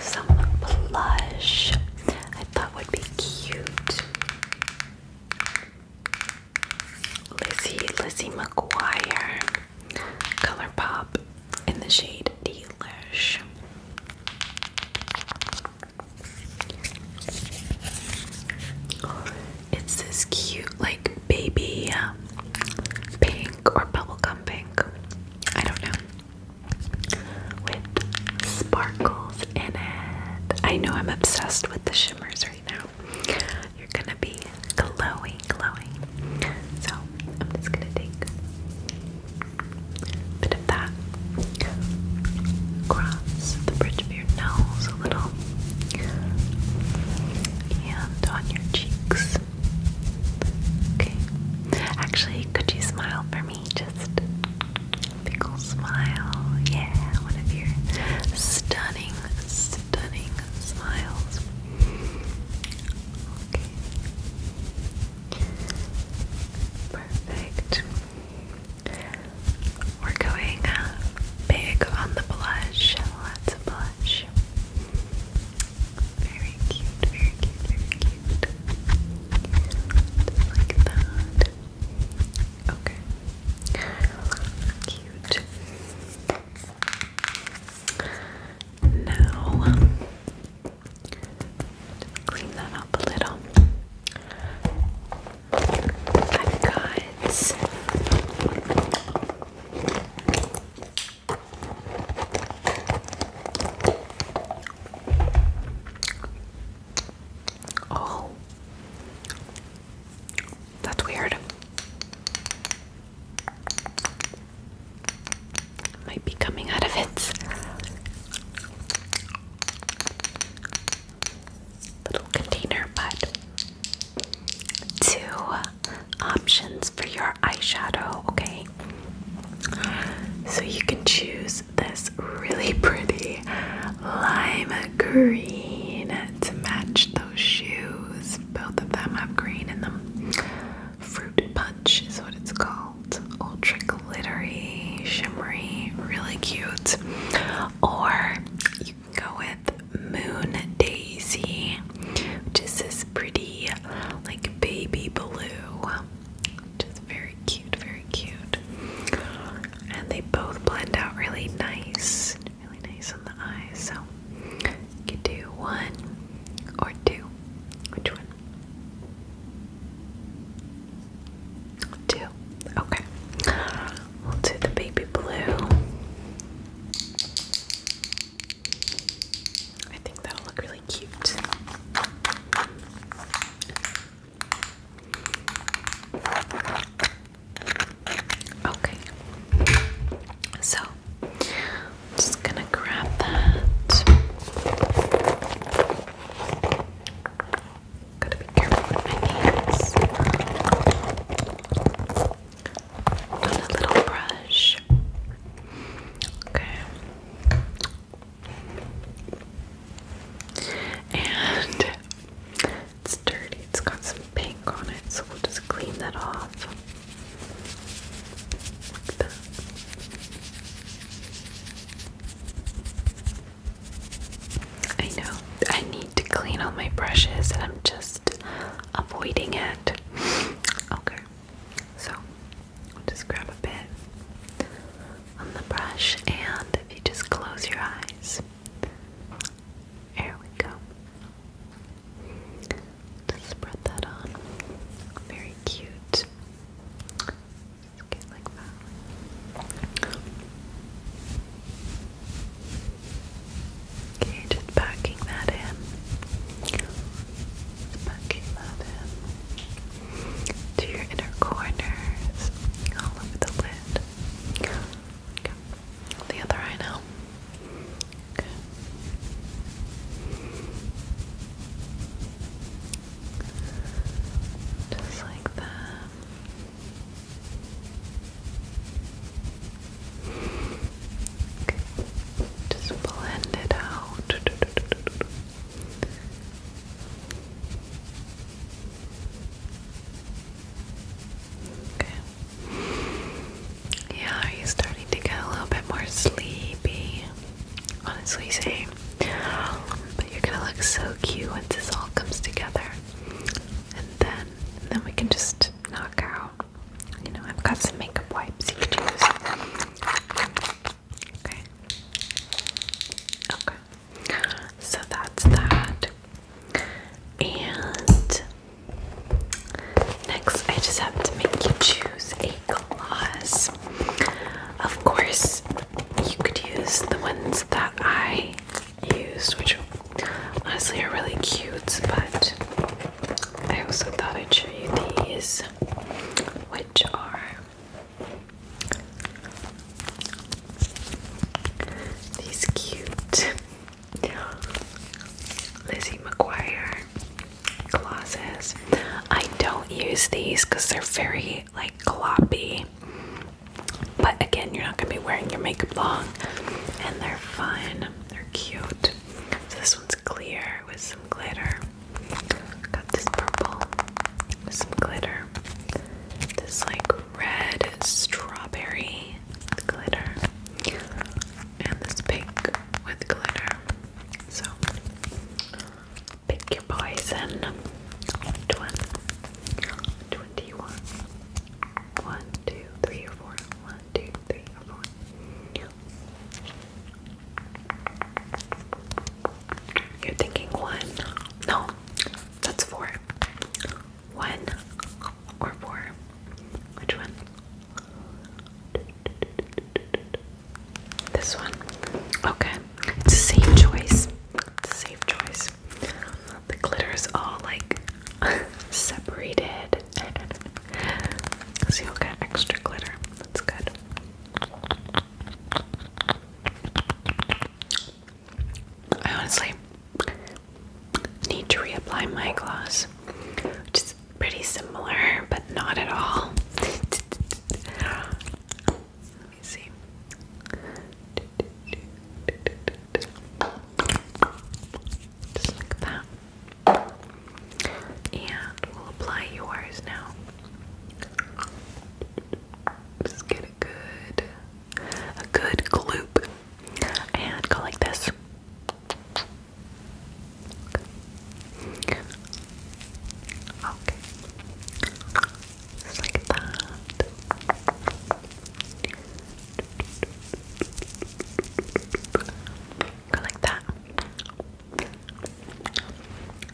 some blush I thought would be cute. Lizzie, Lizzie McGuire, ColourPop in the shade Delish. It's this cute, like baby um, pink or bubblegum pink. I don't know. With sparkles in it. I know I'm obsessed with the shimmers right now. You're gonna be glowing, glowing. So I'm just gonna take a bit of that across the bridge of your nose, a little and on your cheeks. Okay. Actually, could you smile for me? Just big ol' smile. Yeah, one of your stunning, stunning smiles. Okay. Perfect. We're going uh, big on the blush. Lots of blush. Very cute, very cute, very cute. like that. Okay. Cute. Now, clean that up a little. I've got Oh, that's weird. Might be coming out of it little container, but two options for your eyeshadow, okay? So you can choose this really pretty lime green to match those shoes. Both of them have green in them. Fruit punch is what it's called. Ultra glittery, shimmery, really cute. Or go with Moon Daisy, which is this pretty, like, baby blue. Just very cute, very cute. And they both blend out really nice, really nice on the eyes. So you can do one or two. Which one? Two. Okay. We'll do the baby blue. I think that'll look really cute. Okay. So, just going to grab that. Gotta be careful with my hands a little brush. Okay. And it's dirty, it's got some pink on it, so we'll just clean that off. I know I need to clean all my brushes and I'm just avoiding it. Okay, so just grab a bit on the brush and if you just close your eyes. There we go. Just spread that on. Very cute. Just get like that. Okay, just packing that in. packing that in. To your inner corners, all over the lid. The other eye now. Just like that. Just blend it out. Okay. Yeah, are you starting to get a little bit more sleepy? Honestly, same. But you're gonna look so cute once this all comes together. And then and then we can just knock out you know, I've got some makeup wipes you could use. Okay. Okay. So that's that. And next, I just have to make you choose a gloss. Of course, you could use the ones that I used, which honestly are really cute, but I also thought I'd show you these, which are these cute Lizzie McGuire glosses. I don't use these because they're very like gloppy. But again, you're not going to be wearing your makeup long, and they're fun. They're cute. this one's clear with some glitter. Got this purple with some glitter. This like red strawberry glitter. And this pink with glitter. So pick your poison. Which One, two, three, or four. One, one, two, three, four. You're thinking one. No, that's four. One or four. Which one? This one. Okay. It's a safe choice. It's a safe choice. The glitter is all like separated. So you'll get extra glitter. That's good. I honestly need to reapply my gloss, which is pretty similar, but not at all. Let me see. Just like that. And we'll apply yours now. Just get a good, a good gloop, and go like this. Okay. Just like that. Go like that.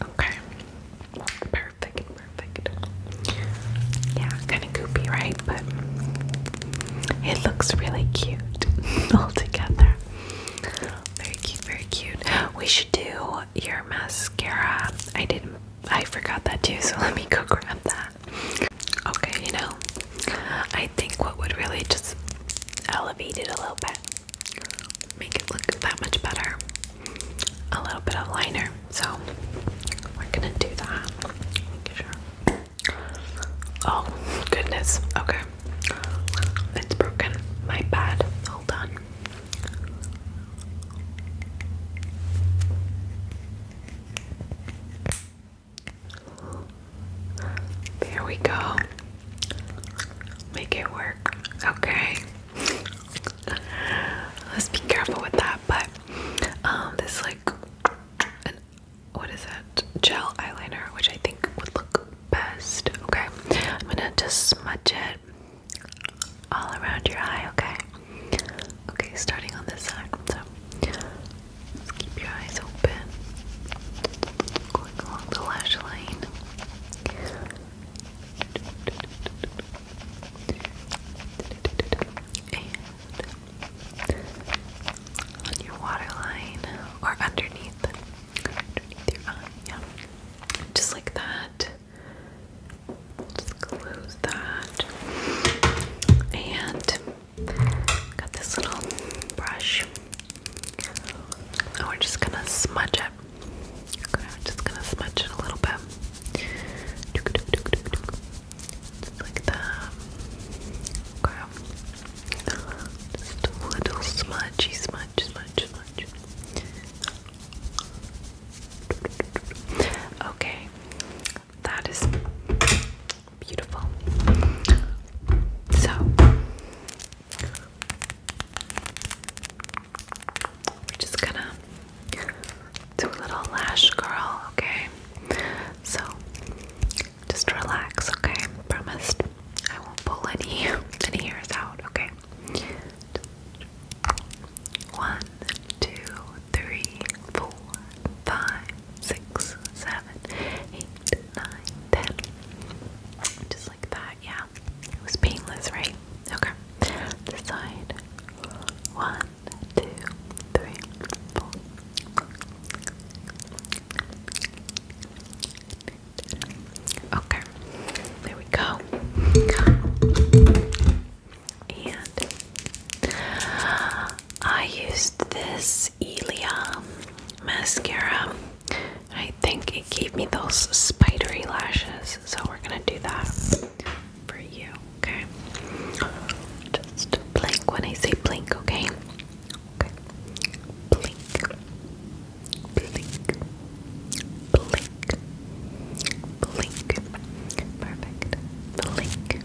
Okay. Perfect, perfect. Yeah, kind of goopy, right? But it looks really cute all together. Very cute, very cute. We should do your mascara. I didn't I forgot that too, so let me go grab that. Okay, you know, I think what would really just elevate it a little bit, make it look that much better, a little bit of liner. So we're gonna do that. Oh goodness. Okay, it's broken. My bad. Hold on. There we go. Make it work. Okay. Let's be careful with that, but um this like an what is it? Gel eyeliner, which I think would look best. Okay. I'm gonna just smudge it all around your eye, okay? Okay, starting on this side. So just keep your eyes open. Going along the lash line. on your waterline or underneath. Underneath your eye, yeah. Just like that. Just close that. And Got this little brush. And we're just gonna smudge it. Okay, I'm just gonna smudge it a little bit. Just like that. Okay. Just a little smudgy smudge, smudge, smudge. Okay. That is Beautiful. So we're just gonna do a little lash curl, okay? So just relax, okay? Promised. I won't pull any any hairs out, okay? One, two, three, four, five, six, seven, eight, nine, ten. Just like that, yeah. It was painless, right? Okay. This side. One, two, three, four. Okay. There we go. And I used this this mascara. I think it gave me those spidery lashes, so we're gonna do that for you, okay? Just blink when I say blink, okay? Okay. Blink. Blink. Blink. Blink. Perfect. Blink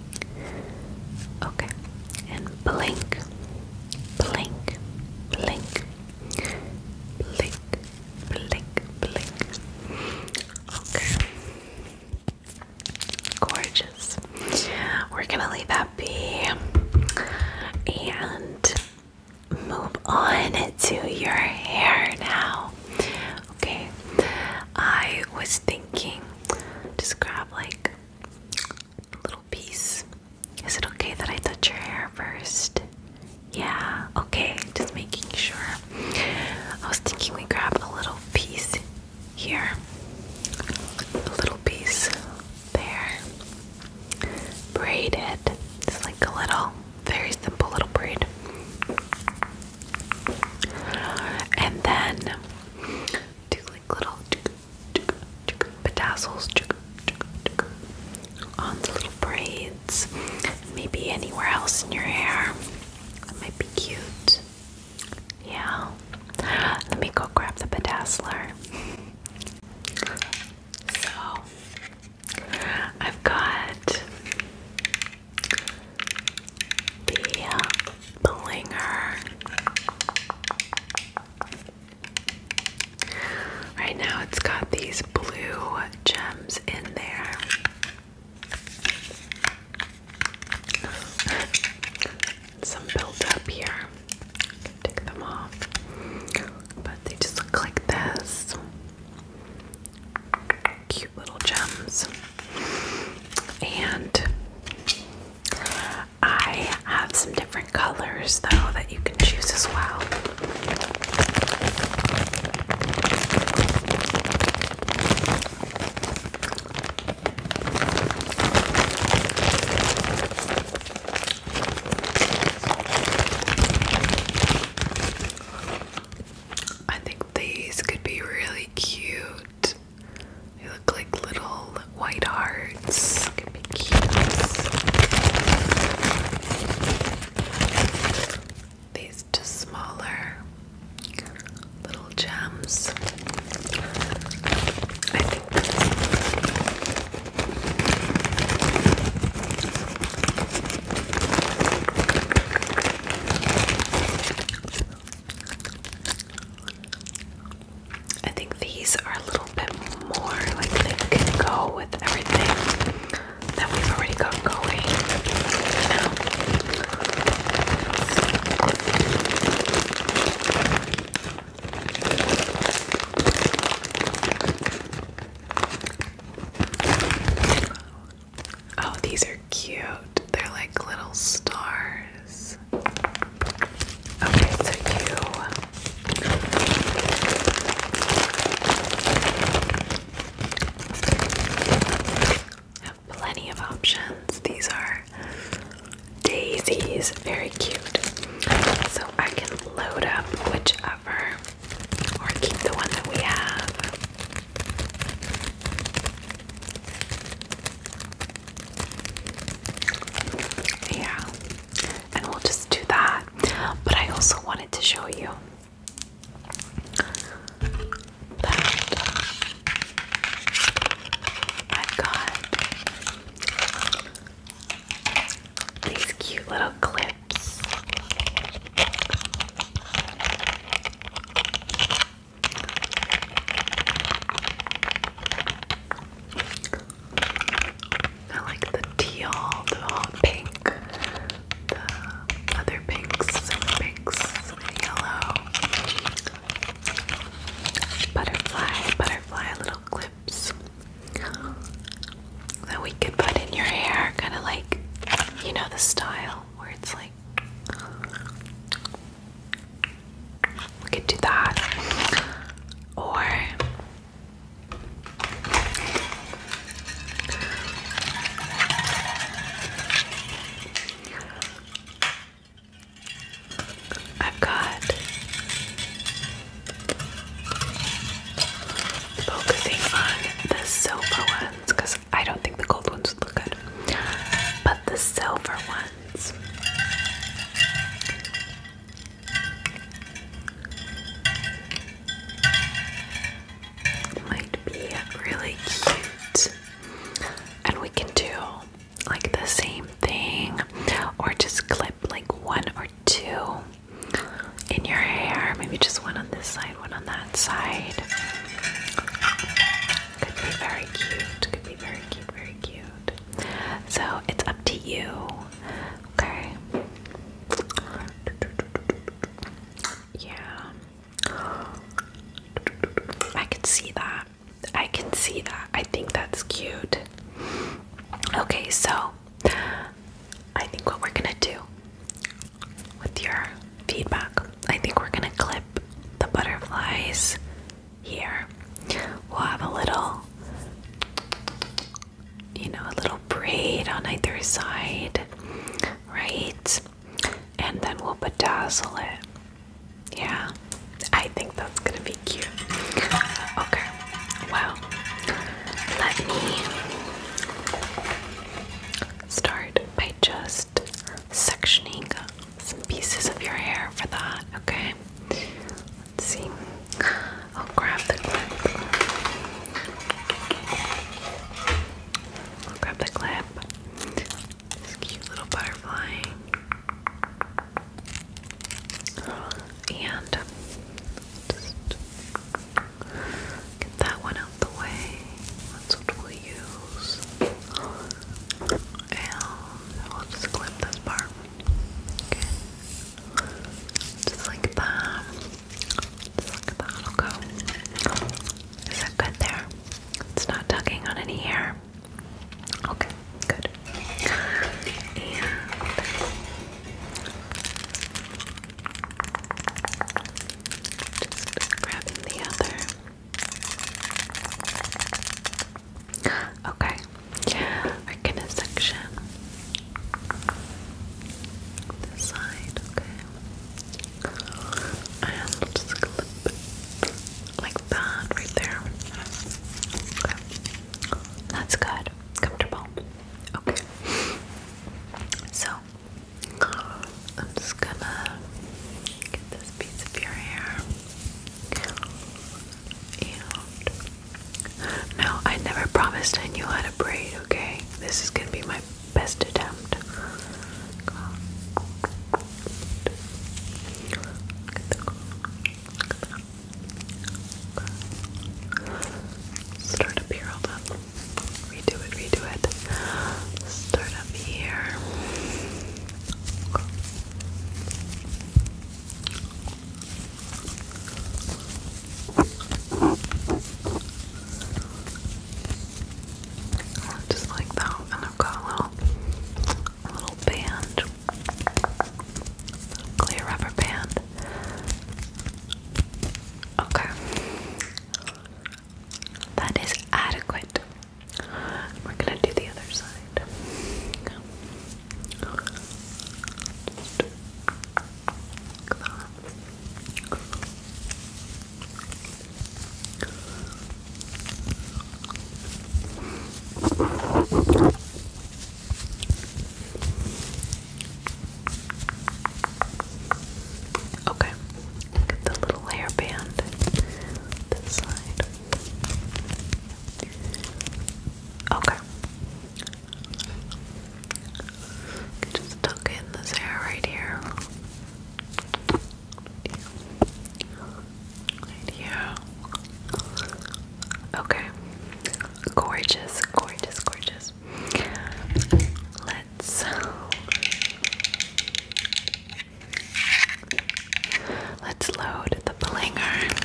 Okay, and blink, blink, blink, blink, blink, blink. Okay, gorgeous. We're gonna leave that be and move on to your hair now. Okay, I was thinking, just grab like a little piece. Is it okay that I touch your hair first? Yeah, okay, just making sure. I was thinking we grab a little piece here, a little piece there, braid it. It's like a little, very simple little braid. And then do like little bedazzles on the little braids, maybe anywhere else in your hair. That might be cute. Yeah. Let me go grab the bedazzler. So I've got the uh, blinger. Right now, it's got these blue gems in there. Some built here. Take them off. But they just look like this. Cute little gems. And I have some different colors though that you can choose as well. I think these could be really cute. They look like little white hearts. Could be cute. These two smaller little gems. I think I think these are a little bit more like they can go with everything that we've already got going. Oh, these are cute. They're like little stars. Okay, so you have plenty of options. These are daisies, very cute. So I can load up whichever or keep the one that we have. Yeah, and we'll just do that. But I also wanted to show you that I've these cute little clips. I like the teal, the hot pink, the other pinks, silver pinks, yellow. Butterfly, butterfly little clips that we could put in your hair, kind of like, you know, the style where it's like we could do that. Or I've got focusing on the silver ones because I don't think the gold ones look good, but the silver ones hands. Might be really cute. And we can do like the same thing or just clip like one or two in your hair. Maybe just one on this side, one on that side. Could be very cute. Could be very cute, very cute. So it's up to you. Okay. Yeah. I can see that. I can see that. I think that's cute. Okay, so I think what we're gonna do with your feedback, I think we're gonna clip the butterflies here. We'll have a little, you know, a little braid on either side, right? And then we'll bedazzle it. Yeah, I think that's gonna be cute. Okay, well, let me start by just sectioning some pieces of your hair for that, okay? Let's see. I'll grab the clip. I'll grab the clip. This cute little butterfly. And get that one out the way. That's what we'll use and we'll just clip this part. Okay. Just like that. Just like that. I'll go. Is that good there? It's not tugging on any hair. Okay, good. And just grabbing the other. Okay, we're gonna section this side, okay? And we'll just clip like that right there. Okay, that's good, comfortable. Okay, so I'm just gonna get this piece of your hair. And I never promised I knew how to braid, okay? This is gonna be my best attempt. Start up here, hold up. Redo it, redo it. Start up here. Just like that, and i got a little, little band, clear rubber band. Okay, that is adequate. We're gonna do the other side. Okay, get the little hairband this side. Okay. Just tuck in this hair right here. Right here. Okay. Gorgeous, gorgeous, gorgeous. Let's Let's load the blinger.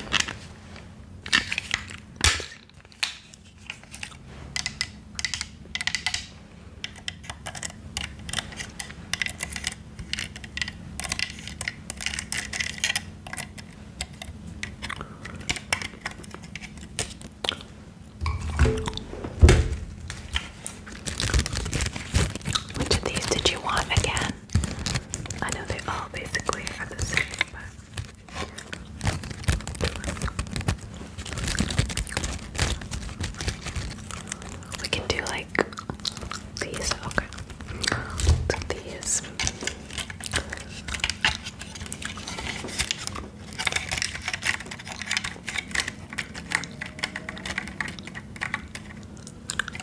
Which of these did you want again? I know they all basically are the same, but. We can do like these, okay. these. Look at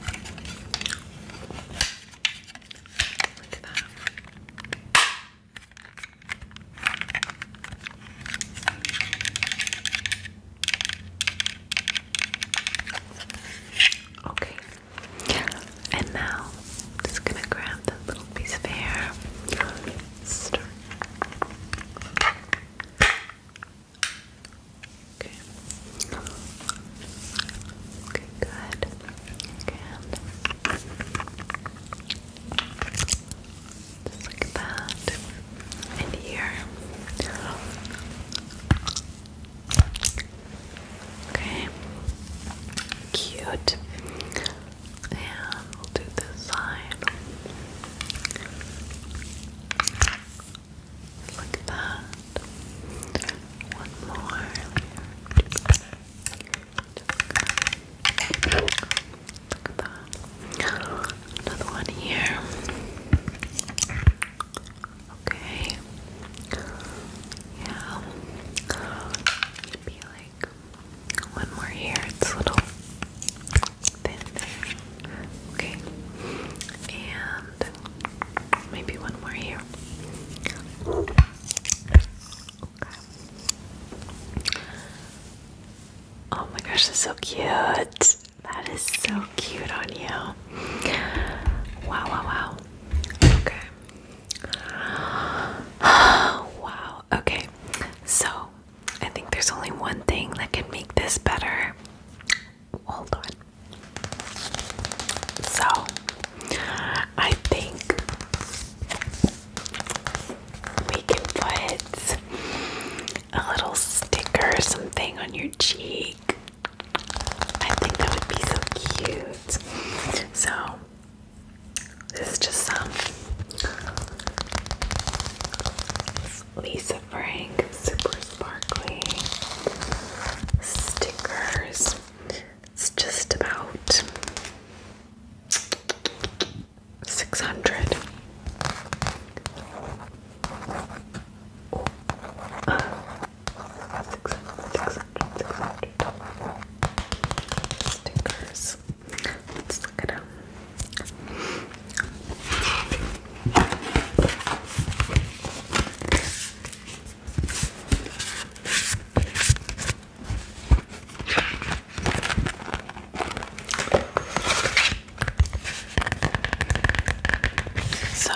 Okay, and now just gonna grab that little piece of hair. Okay. Okay, good. Good. Just like that. And here. Okay. Cute. And we'll do this side like that. One more Another one here. Okay. Yeah. Maybe like one more here. It's a little thin Okay. And maybe one more here. Oh my gosh, that's so cute. That is so cute on you. Wow, wow, wow. Okay. wow. Okay. So, I think there's only one thing that can make this better. Hold on. So, I think we can put a little sticker or something on your cheek. I think that would be so cute. So, this is just some Lisa Frank Super sparkly stickers. It's just about 600. Oh, uh, stickers. Let's look at them. So,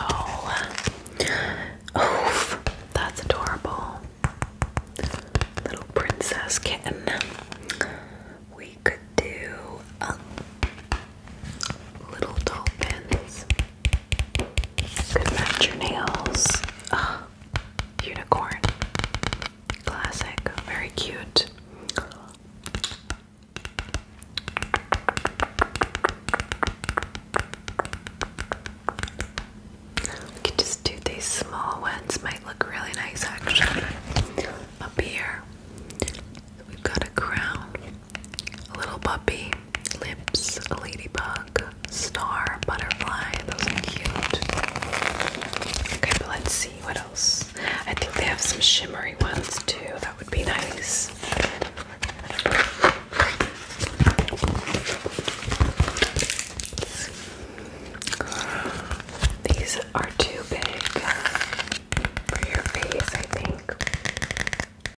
oof, that's adorable. Little princess kitten. We could do a um, little doll dolphins. Could match your nails. Ah, unicorn. Classic. Very cute. We could just do these small ones, might look really nice actually. Up here, we've got a crown, a little puppy, lips, ladybug, star, butterfly. Those are cute. Okay, but let's see what else. I think they have some shimmery ones too. That would be nice. These are too big for your face, I think.